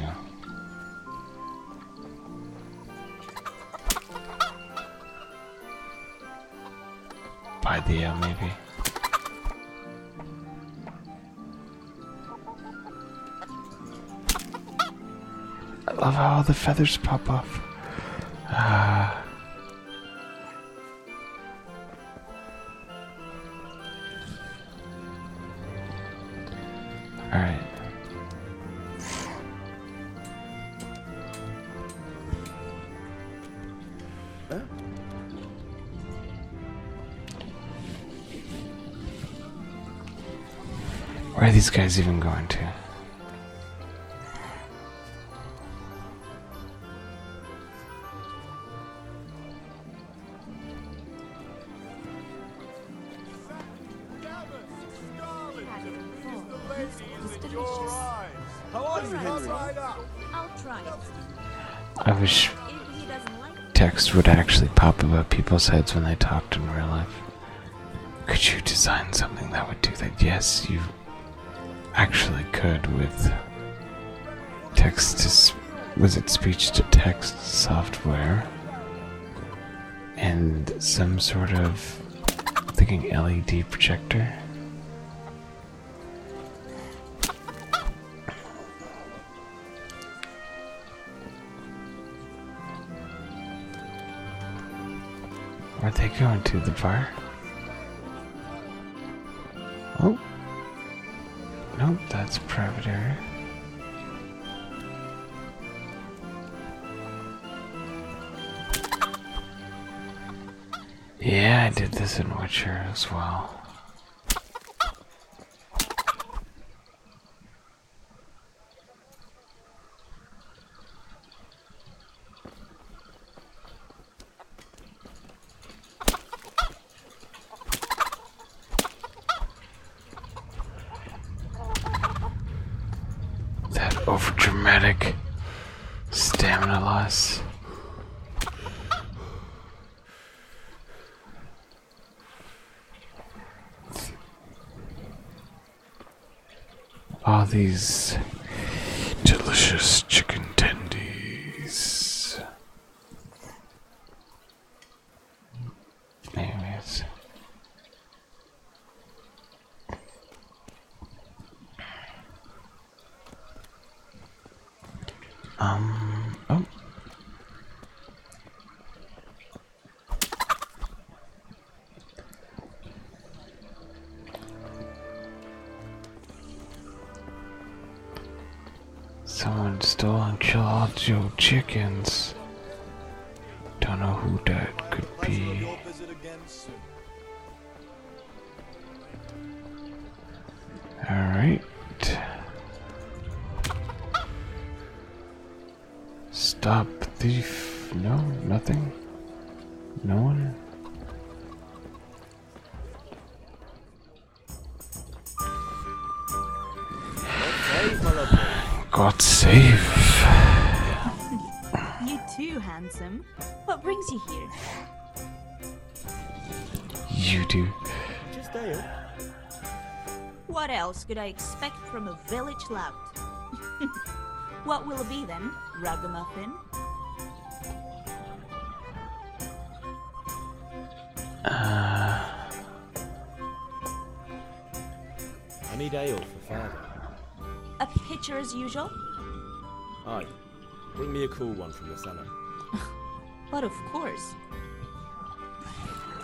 By the uh, maybe. I love how the feathers pop off. Ah. All right. Where are these guys even going to? I wish text would actually pop above people's heads when they talk in real life. Could you design something that would do that? Yes, you actually could with text to was it speech to text software and some sort of thinking LED projector. are they going to the bar? Oh. Nope, that's private area. Yeah, I did this in Witcher as well. That overdramatic stamina loss. Are these delicious chicken tendies. There it is. Um, oh. Someone stole and killed your chickens. Don't know who that could be. Alright. Stop thief. No, nothing. No one. God save. You too, handsome. What brings you here? You do. What else could I expect from a village lout? *laughs* what will it be then, ragamuffin? Uh, I need ale for father. A pitcher as usual? Aye. Bring me a cool one from the cellar. *laughs* but of course.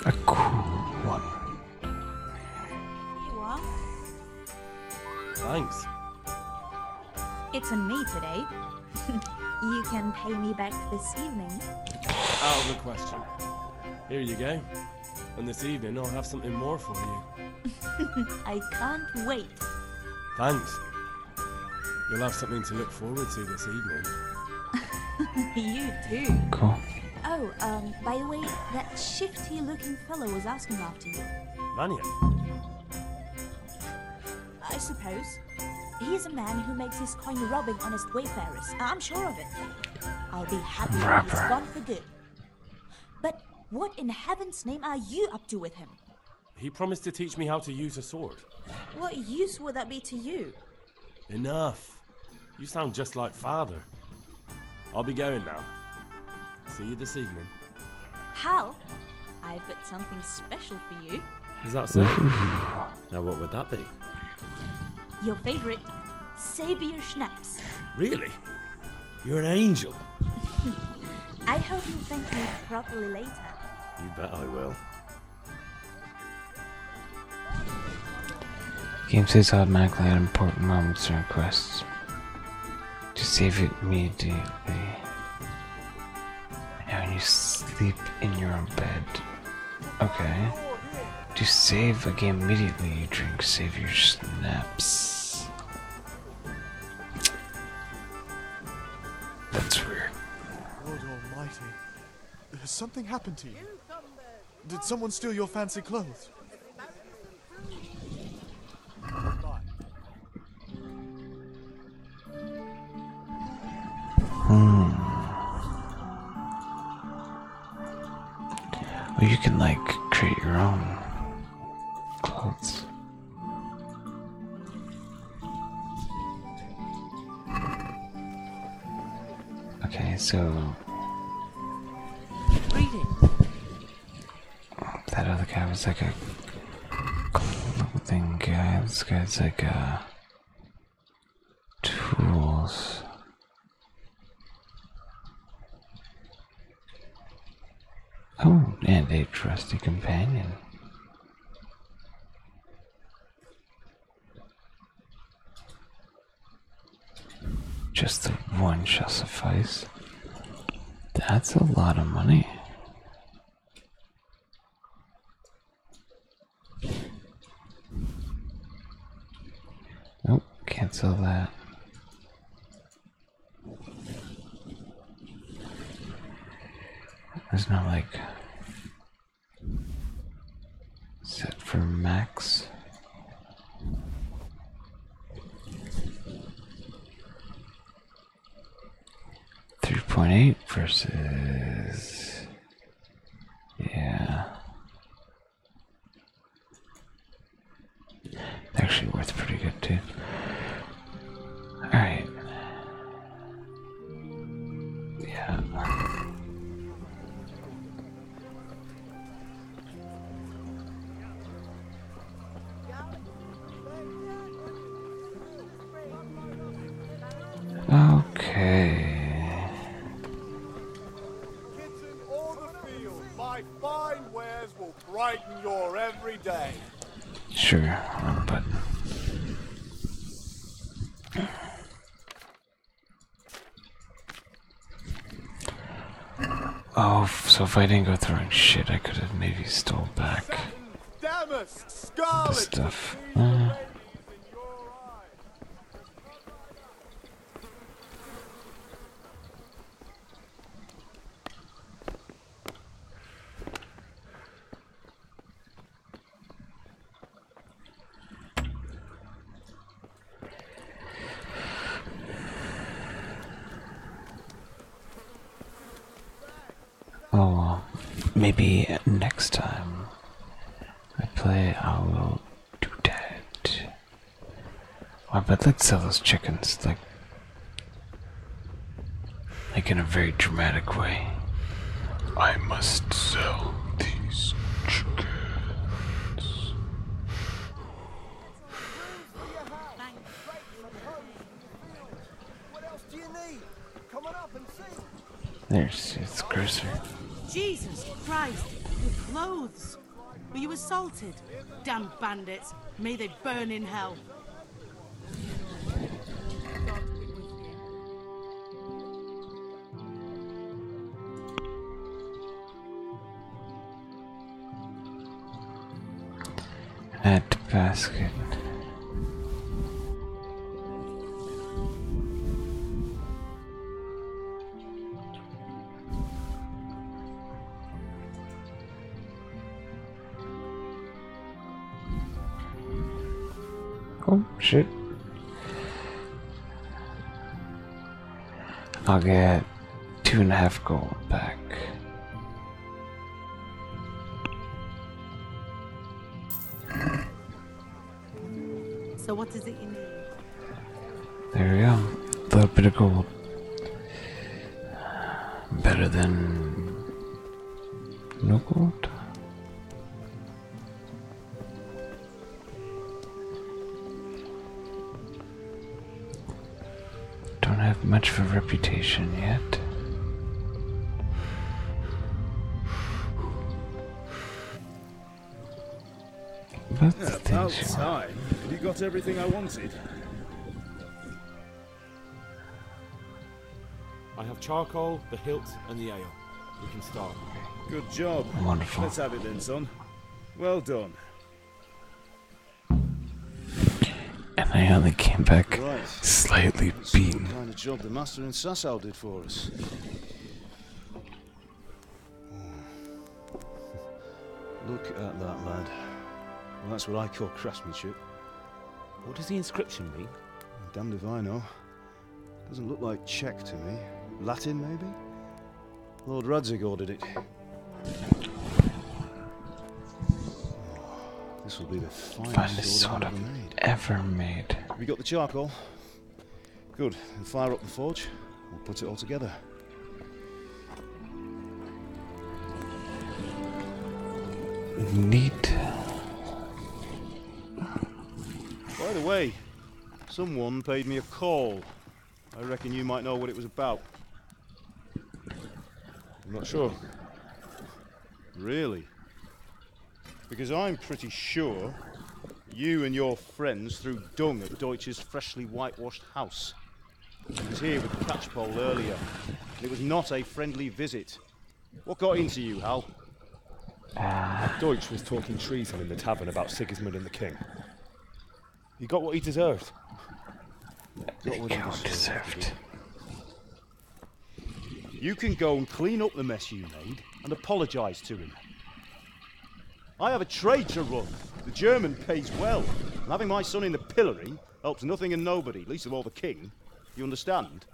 A cool one. Thanks. It's on me today. *laughs* you can pay me back this evening. Out of the question. Here you go. And this evening I'll have something more for you. *laughs* I can't wait. Thanks. You'll have something to look forward to this evening. *laughs* you too. Cool. Oh, um, by the way, that shifty looking fellow was asking after you. Mania. I suppose. He's a man who makes his coin robbing honest wayfarers. I'm sure of it. I'll be happy when he's gone for good. But what in heaven's name are you up to with him? He promised to teach me how to use a sword. What use would that be to you? Enough. You sound just like father. I'll be going now. See you this evening. Hal, I've got something special for you. Is that so? *laughs* Now, what would that be? Your favorite, Sabian Schnapps. Really? You're an angel. *laughs* I hope you thank me properly later. You bet I will. Game saves automatically at important moments and requests. To save it immediately. Now you sleep in your own bed. Okay. To save again immediately, you drink save your snaps. That's weird. Lord almighty. Has something happened to you? Did someone steal your fancy clothes? Hmm. Or you can like create your own clothes. Okay, so. That other guy was like a thing. guy. This guy's like a tools. Oh, and a trusty companion. Just the one shall suffice. That's a lot of money. Nope, cancel that. It's not like set for max. Three point eight versus yeah actually worked pretty good too. Alright. Yeah. Okay my fine wares will brighten your every day. Sure, wrong um, button. Oh, so if I didn't go through and shit, I could have maybe stole back the stuff. Oh, maybe next time I play, I will do that. Wow, but let's sell those chickens, like, like in a very dramatic way. I must sell these chickens. There's it's grocer. Jesus Christ, The clothes. Were you assaulted? Damn bandits. May they burn in hell. Net basket. Oh, shit. I'll get two and a half gold back. So what is it you need? There we go. A little bit of gold. Better than no gold. Don't have much of a reputation yet. That's About time. you got everything I wanted? I have charcoal, the hilt, and the ale. We can start. Good job. Wonderful. Let's have it then, son. Well done. And I only came back slightly beaten. kind of job the master in Sassau did for us. Oh. *laughs* Look at that, lad. Well, that's what I call craftsmanship. What does the inscription mean? Damned if I know. Doesn't look like Czech to me. Latin, maybe? Lord Radzig ordered it. Oh, this will be the finest, sword ever made. ever made. Have you got the charcoal? Good, and fire up the forge. We'll put it all together. Neat. By the way, someone paid me a call. I reckon you might know what it was about. I'm not sure. Really? Because I'm pretty sure you and your friends threw dung at Deutsch's freshly whitewashed house. He was here with the catchpole earlier. And it was not a friendly visit. What got into you, Hal? Ah. Deutsch was talking treason in the tavern about Sigismund and the king. He got what he deserved. He got what he deserved. You can go and clean up the mess you made and apologise to him. I have a trade to run. The German pays well. having my son in the pillory helps nothing and nobody, least of all the king. You understand?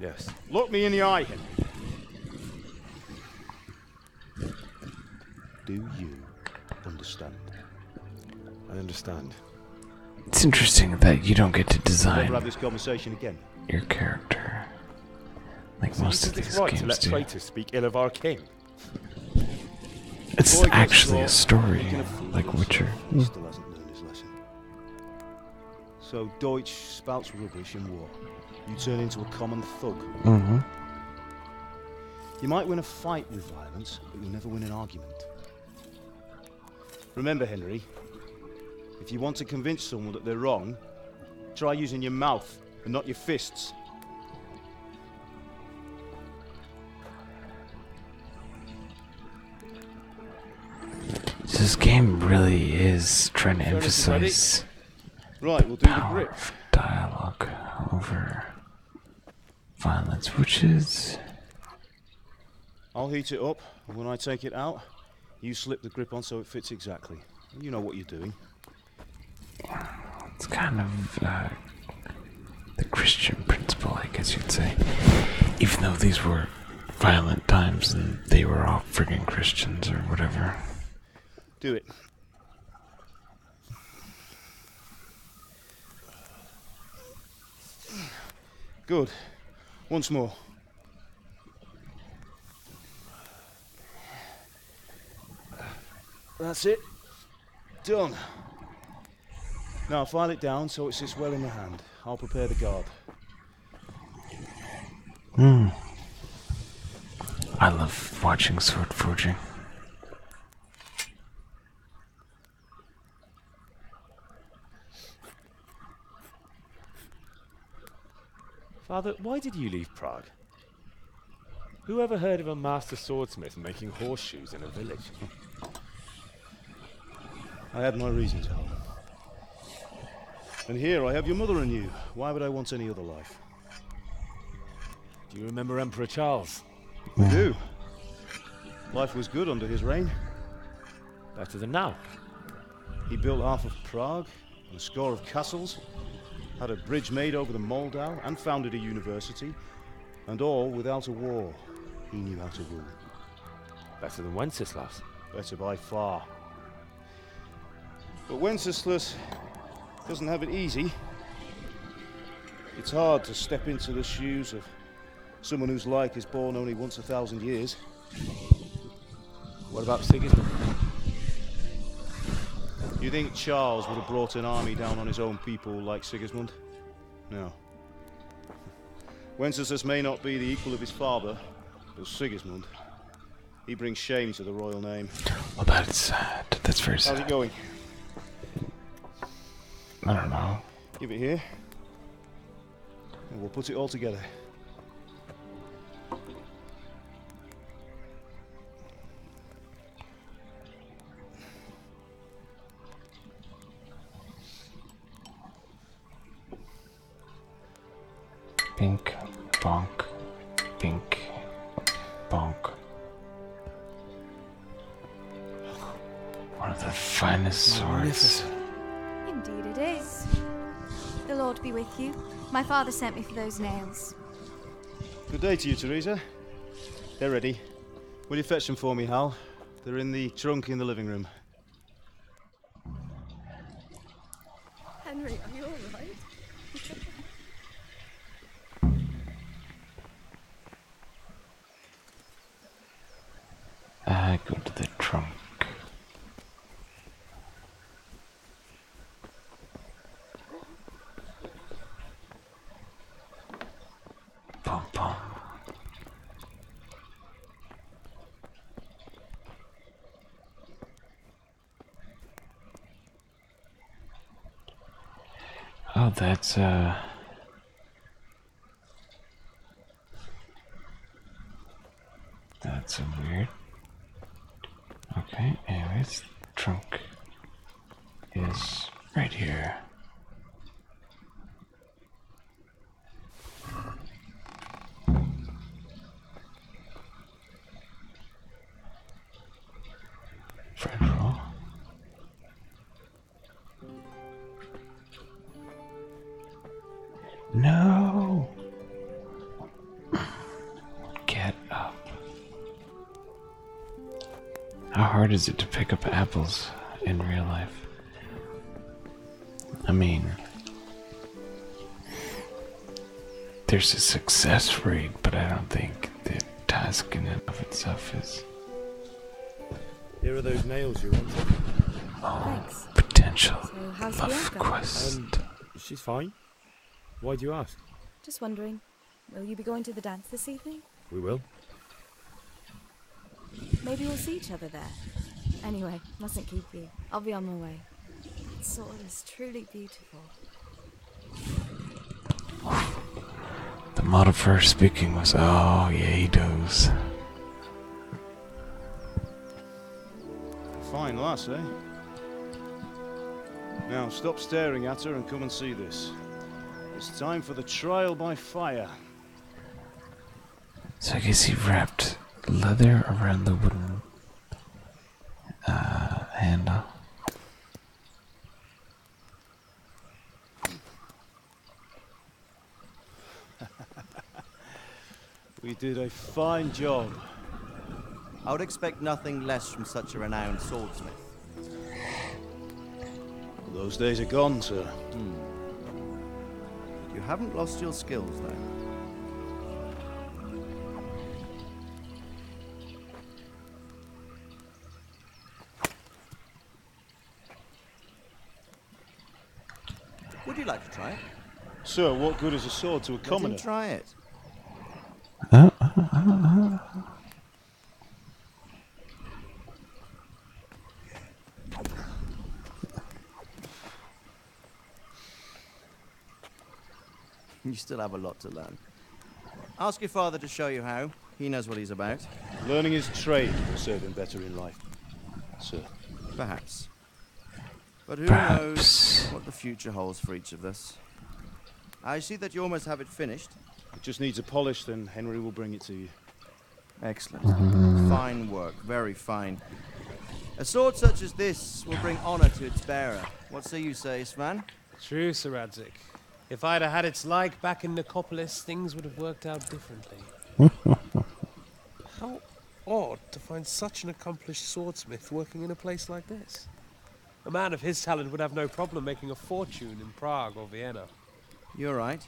Yes. Look me in the eye, Henry. Do you understand? I understand. It's interesting that you don't get to design. We'll have this conversation again. Your character. Like most of these games let do. traitors speak ill of our king. It's actually a story, like Witcher. Mm. Still hasn't lesson. So Deutsch spouts rubbish in war. You turn into a common thug. Mm-hmm. You might win a fight with violence, but you'll never win an argument. Remember, Henry, if you want to convince someone that they're wrong, try using your mouth and not your fists. This game really is trying to emphasize right, we'll do the grip. dialogue over violence, which is. I'll heat it up, and when I take it out, you slip the grip on so it fits exactly. You know what you're doing. It's kind of uh, the Christian principle, I guess you'd say. Even though these were violent times and they were all frigging Christians or whatever. Do it. Good. Once more. That's it. Done. Now file it down so it sits well in the hand. I'll prepare the guard. Hmm. I love watching sword forging. Father, why did you leave Prague? Who ever heard of a master swordsmith making horseshoes in a village? I had my reasons, Hal. And here I have your mother and you. Why would I want any other life? Do you remember Emperor Charles? We do. Life was good under his reign. Better than now. He built half of Prague, a score of castles, had a bridge made over the Moldau, and founded a university, and all without a war. He knew how to rule. Better than Wenceslas. Better by far. But Wenceslas doesn't have it easy. It's hard to step into the shoes of someone whose like is born only once a thousand years. What about Sigismund? You think Charles would have brought an army down on his own people like Sigismund? No. Wenceslas may not be the equal of his father, but Sigismund, he brings shame to the royal name. Well, that's sad. That's very sad. How's it going? I don't know. Give it here, and we'll put it all together. Pink, bonk, pink, bonk. One of the finest swords. Indeed it is. The Lord be with you. My father sent me for those nails. Good day to you, Teresa. They're ready. Will you fetch them for me, Hal? They're in the trunk in the living room. Henry, are you alright? I go to the trunk. Pom pom. Oh, that's uh. That's a weird Okay, and his trunk is right here. Federal. No. Get up. How hard is it to pick up apples in real life? I mean, there's a success rate, but I don't think the task in and of itself is. Here are those nails you wanted. Oh, Thanks. potential so love quest. Um, she's fine. Why do you ask? Just wondering. Will you be going to the dance this evening? We will. Maybe we'll see each other there. Anyway, mustn't keep you. I'll be on my way. That sword is truly beautiful. The modifier speaking was, oh, yeah, he does. Fine lass, eh? Now, stop staring at her and come and see this. It's time for the trial by fire. So I guess he wrapped leather around the wooden uh, handle. *laughs* we did a fine job. I would expect nothing less from such a renowned swordsmith. Those days are gone, sir. Hmm. You haven't lost your skills, then. Would you like to try it? Sir, what good is a sword to a commoner? try it. Uh, uh, uh, you still have a lot to learn. Ask your father to show you how. He knows what he's about. Learning his trade will serve him better in life, sir. Perhaps. But who knows what the future holds for each of us? I see that you almost have it finished. It just needs a polish, then Henry will bring it to you. Excellent. Fine work, very fine. A sword such as this will bring honor to its bearer. What say you, say, Svan? True, Sir Adzik. If I'd have had its like back in Nicopolis, things would have worked out differently. *laughs* How odd to find such an accomplished swordsmith working in a place like this. A man of his talent would have no problem making a fortune in Prague or Vienna. You're right.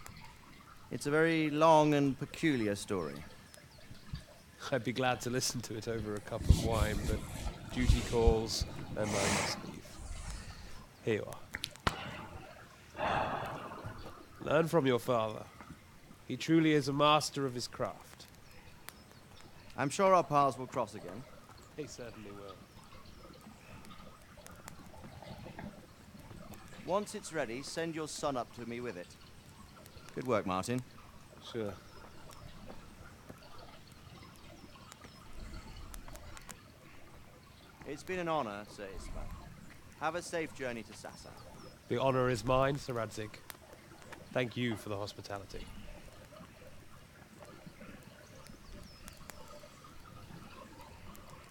It's a very long and peculiar story. I'd be glad to listen to it over a cup of wine, but duty calls and I must leave. Here you are. Learn from your father. He truly is a master of his craft. I'm sure our paths will cross again. They certainly will. Once it's ready, send your son up to me with it. Good work, Martin. Sure. It's been an honor, Sir Isma. Have a safe journey to Sasa. The honor is mine, Sir Radzik. Thank you for the hospitality.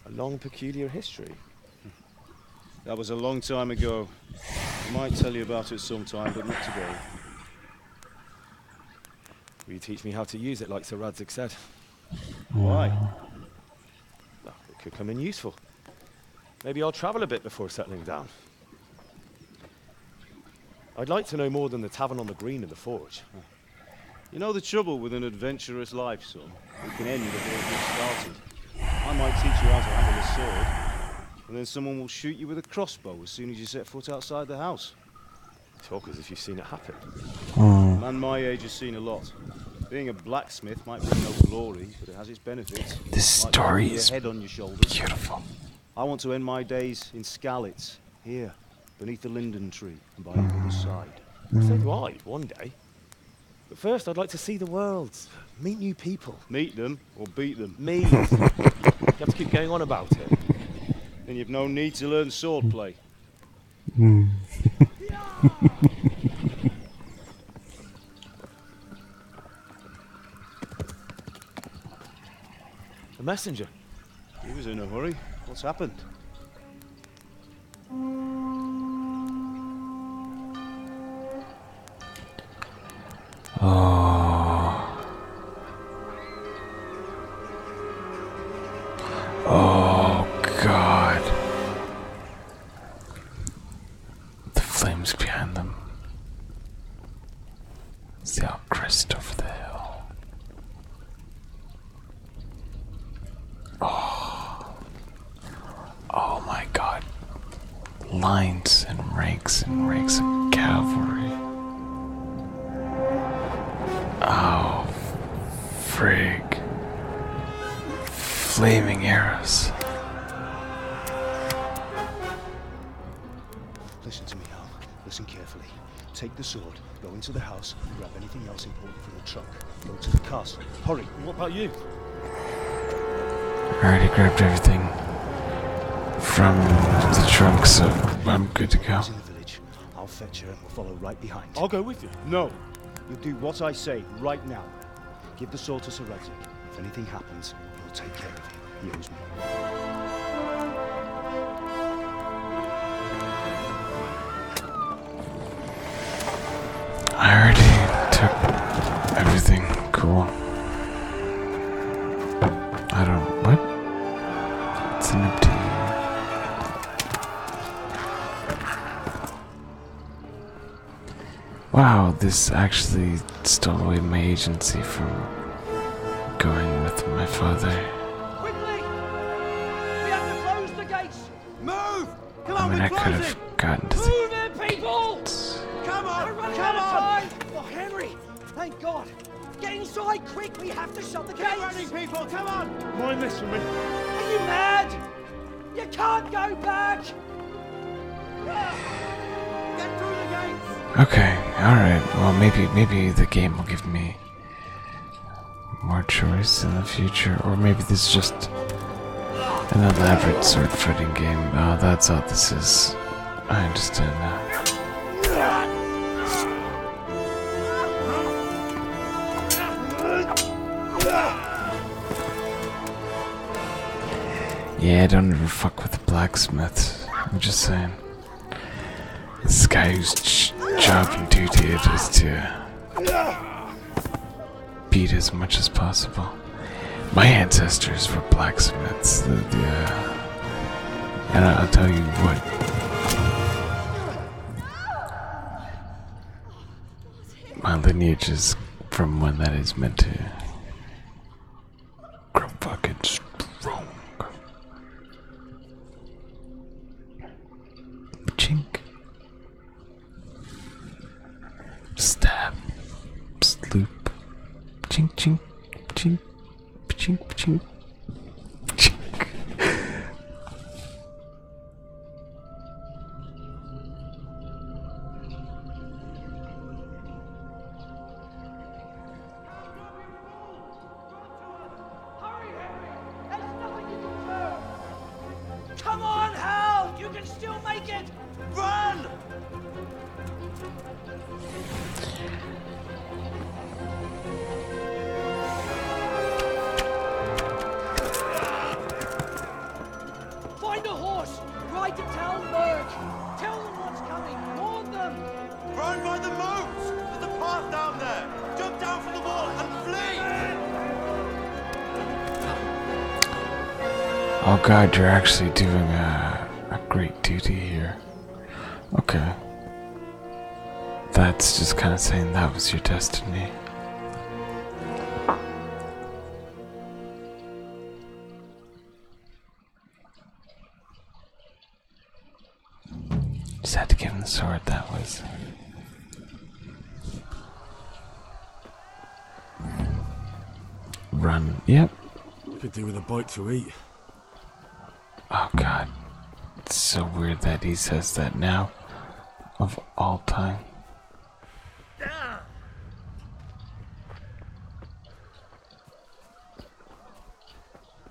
A long, peculiar history. That was a long time ago. I might tell you about it sometime, but not today. Will you teach me how to use it like Sir Radzik said? Why? it could come in useful. Maybe I'll travel a bit before settling down. I'd like to know more than the tavern on the green and the forge. Hmm. You know the trouble with an adventurous life, son? It can end before it gets started. I might teach you how to handle a sword, and then someone will shoot you with a crossbow as soon as you set foot outside the house. Talk as if you've seen it happen. Mm. Man my age has seen a lot. Being a blacksmith might bring no glory, but it has its benefits. This story is head on your shoulders. beautiful. I want to end my days in Scalitz, here, beneath the linden tree and by the other side. So do one day. But first, I'd like to see the world, meet new people. Meet them or beat them. Meet. *laughs* you have to keep going on about it. Then you've no need to learn swordplay. Mm. *laughs* a messenger. He was in a hurry. What's happened? Oh. Oh, God. The flames behind them. It's the crest over the hill. Oh. oh my god. Lines and ranks and ranks of cavalry. Oh, frig. Flaming arrows. Listen to me, Al. Listen carefully. Take the sword, go into the house, and grab anything else important from the trunk. Go to the castle. Hurry. What about you? I already grabbed everything from the trunk, so I'm good to go. To the village. I'll fetch her and will follow right behind. I'll go with you. No. You'll do what I say right now. Give the sword to Sir If anything happens, he'll take care of you. I already took everything cool. I don't. What? It's an empty. Wow, this actually stole away my agency from going with my father. Quickly! We have to close the gates! Move! Come on, I mean, I could Move the people! Come on! Come on! For oh, Henry! Thank God! Get inside quick! We have to shut the gates! running, people! Come on! Mind this for me. Are you mad? You can't go back! Okay, alright. Well, maybe, maybe the game will give me more choice in the future, or maybe this is just an elaborate sword fighting game. Oh, that's all this is. I understand now. Yeah, don't ever fuck with the blacksmith. I'm just saying. This guy whose job and duty it is to beat as much as possible. My ancestors were blacksmiths. Uh, and I'll tell you what. My lineage is from one that is meant to grow fucking strong. Chink. Stab. Sloop. Chink, chink, chink, chink, chink, chink. Come on, Hal! You can still make it! Run! Find a horse! Try to tell Tell them what's coming! Warn them! Run by the moats! There's a path down there! Jump down from the wall and flee! Oh god, you're actually doing a, a great duty here. Okay. That's just kind of saying that was your destiny. Just had to give him the sword, that was. Run, yep. Could do with a bite to eat. Oh god. It's so weird that he says that now. Of all time.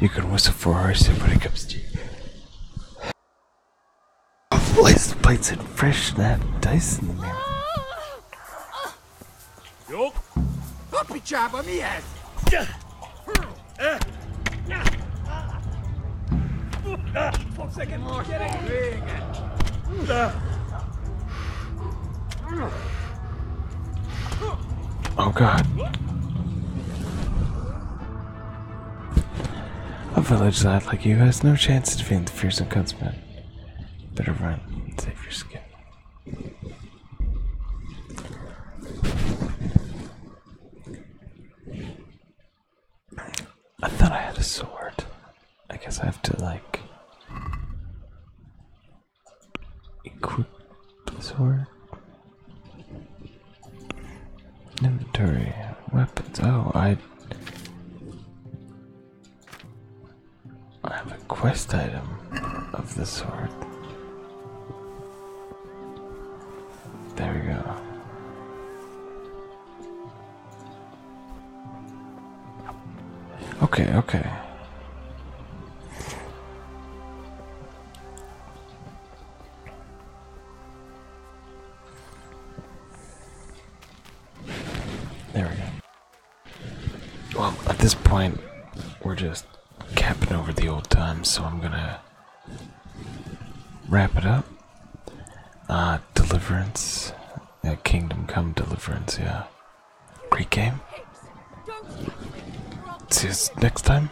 You can whistle for her as when it comes to you. Place the plates and fresh that dice in the mirror. Yup. Puppy job on me ass. Four second more. Get it. Big. Oh god. A village lad like you has no chance to defeat the fearsome gunsman. Better run and save your skin. I thought I had a sword. I guess I have to, like, equip Sword. Inventory. Weapons. Oh, I. I have a quest item of the sword. There we go. Okay, okay. There we go. Well, at this point, we're just capping over the old times, so I'm gonna wrap it up. Uh, Deliverance. Uh, Kingdom Come Deliverance, yeah. Great game. See you next time.